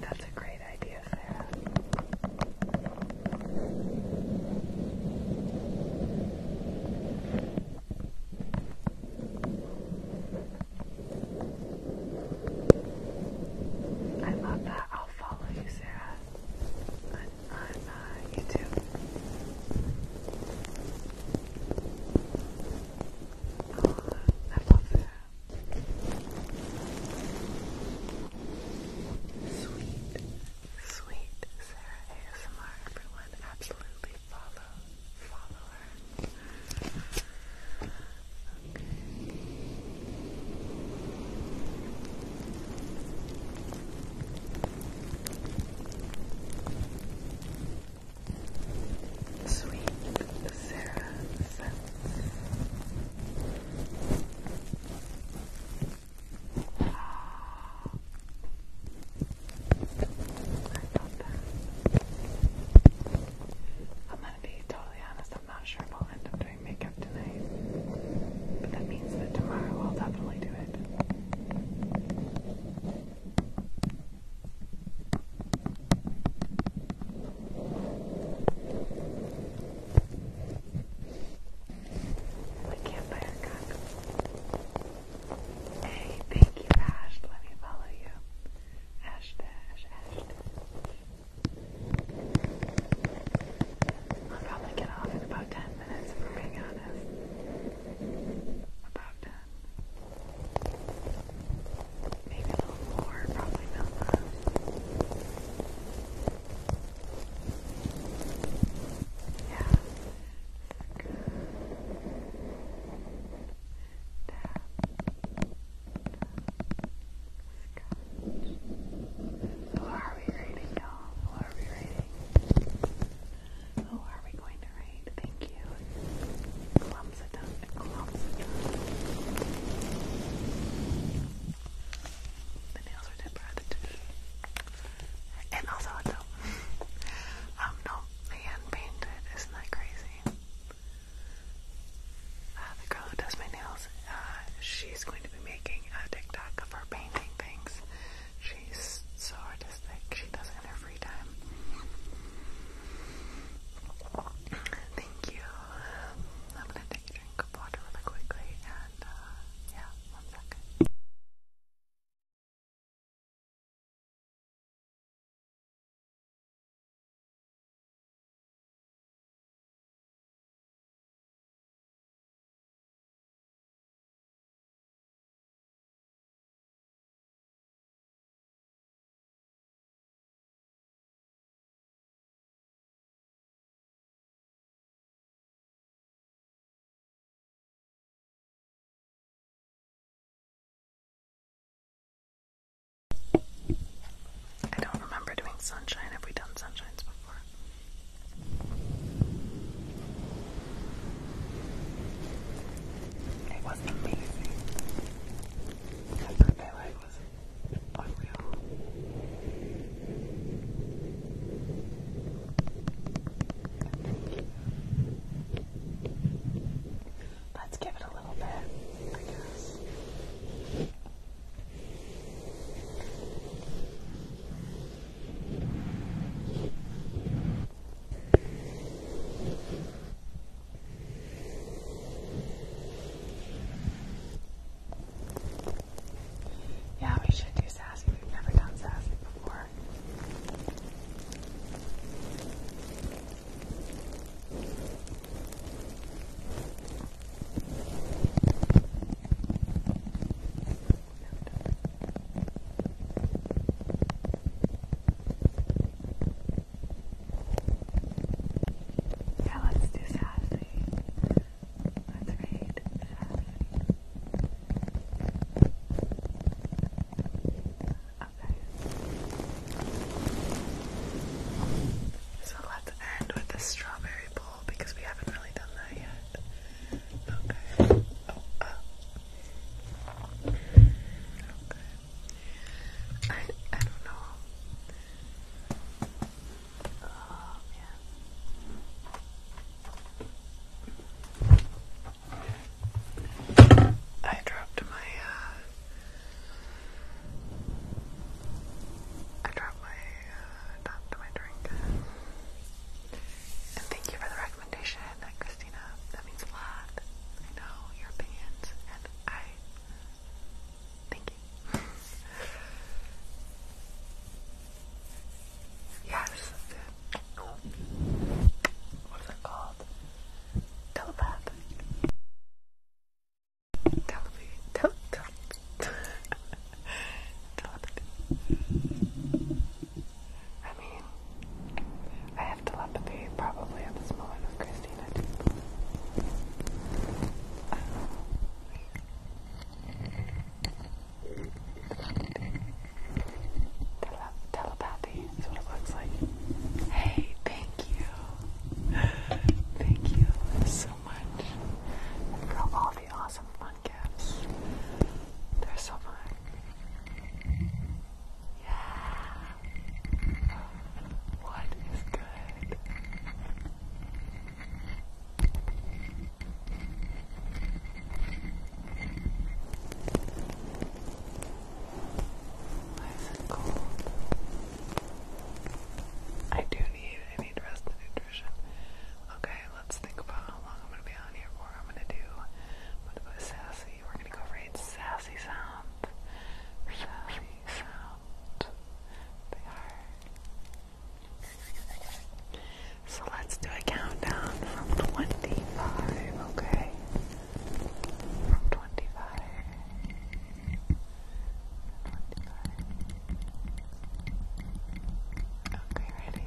That's a great idea, Sarah. I love that. I'll follow you, Sarah, on uh, YouTube. I love that. Sweet, sweet Sarah ASMR. Everyone, absolutely follow, follow her. Okay. Sweet Sarah's. I I'm gonna be totally honest, I'm not sure if I'll end up doing makeup tonight. But that means that tomorrow I'll definitely do it. I can't buy a cock. Hey, thank you, Ash. Let me follow you. Ash dash, Ash dash. I'll probably get off in about 10 minutes if we're being honest. About 10. Maybe a little more, probably not Yeah. Good. Tap. Tap. So are we reading, y'all? Oh, are we going to write? Thank you. Clumps it down. Clumps it down. The nails are tempered. And also, um, no, hand painted. Isn't that crazy? Uh, the girl who does my nails, uh, she's going to be making a TikTok of her painting things. She's so artistic. She does it every time. Thank you. I'm gonna take a drink of water really quickly and uh, yeah, one second. I don't remember doing sunshine. Have we done sunshines before? It was amazing. Her birthday was unreal. Let's give it a little bit, I guess. Yeah, we should do sassy. We've never done sassy before. Yeah, let's do sassy. Let's Okay. So let's end with the strawberry bowl because we haven't really done that yet. Okay. Oh, Okay. I I don't know. Oh man. I dropped uh, my I dropped my uh, my drink. And thank you for the recommendation recommendation, Christina. That means a lot. I know your opinions, and I thank you. yes, what is it called? Telepath. Telepathy. Telepathy. Telepathy. I mean, I have telepathy probably at this moment with Christina too. Um, Tele telepathy is what it looks like. Hey, thank you. Thank you so much. Girl, all awesome fun gifts. They're so fun. Yeah. What is good? Why is I do need, I need rest and nutrition. Okay, let's think about how long I'm going to be on here for. I'm going to do, I'm sassy. We're going to go for a sassy sound. Sassy sound. They are. So let's do a countdown from 25, okay? From 25. 25. Okay, ready?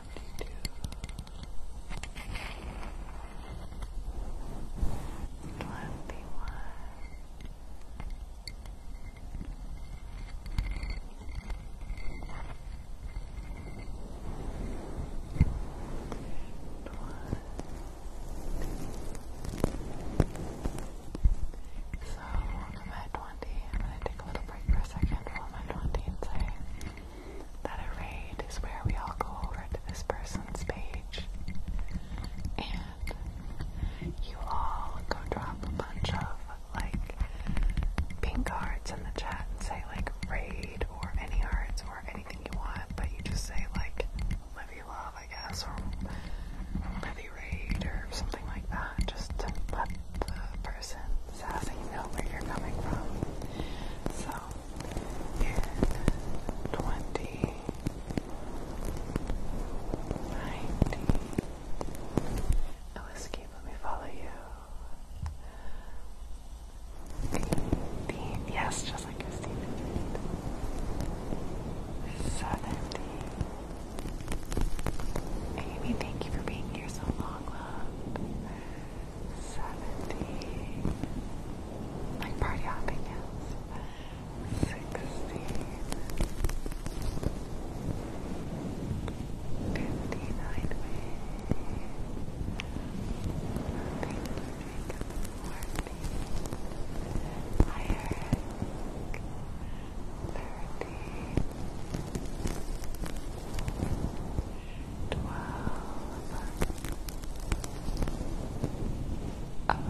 So I'm at 20. I'm going to take a little break for a second I'm at 20 and say that a raid is where we all go over to this person's page and you all go drop a bunch of like pink hearts in the chat and say like raid or any hearts or anything you want, but you just say like Livy Love, I guess, or Livy Raid or something like that, just to let the person, so you know where you're coming from. So, in 2019, let me follow you. Eighteen, yes, just like Christine. Seventeen. Amy, thank you for being here so long, love. Seventy, like party hopping, yes, sixteen, fifty-nine twelve, eleven, ten, nine,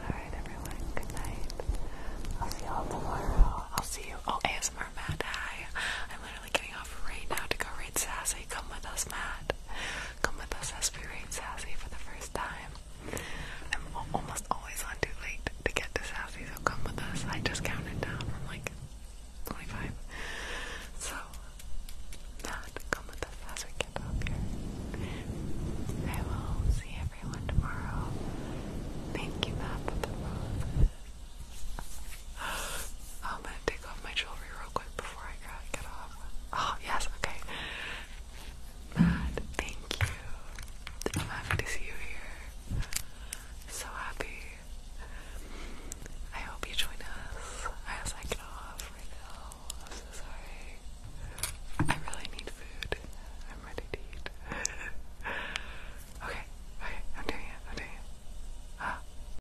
Alright, everyone, good night. I'll see y'all tomorrow. I'll see you. Oh, ASMR Mad. i getting off right now to go raid Sassy. Come with us, Matt. Come with us as we raid Sassy for the first time. I'm almost always on too late to get to Sassy, so come with us. I just counted down from like 25. So, Matt, come with us as we get up here. I will see everyone tomorrow. Thank you, Matt, for the roses. I'm gonna take off my jewelry real quick before I get off. Oh, yes, okay. Matt, thank you. I'm happy to see you here. So happy. I hope you join us as I get off right now. I'm so sorry. I really need food. I'm ready to eat. okay, okay, I'm doing it, I'm doing it. Ah.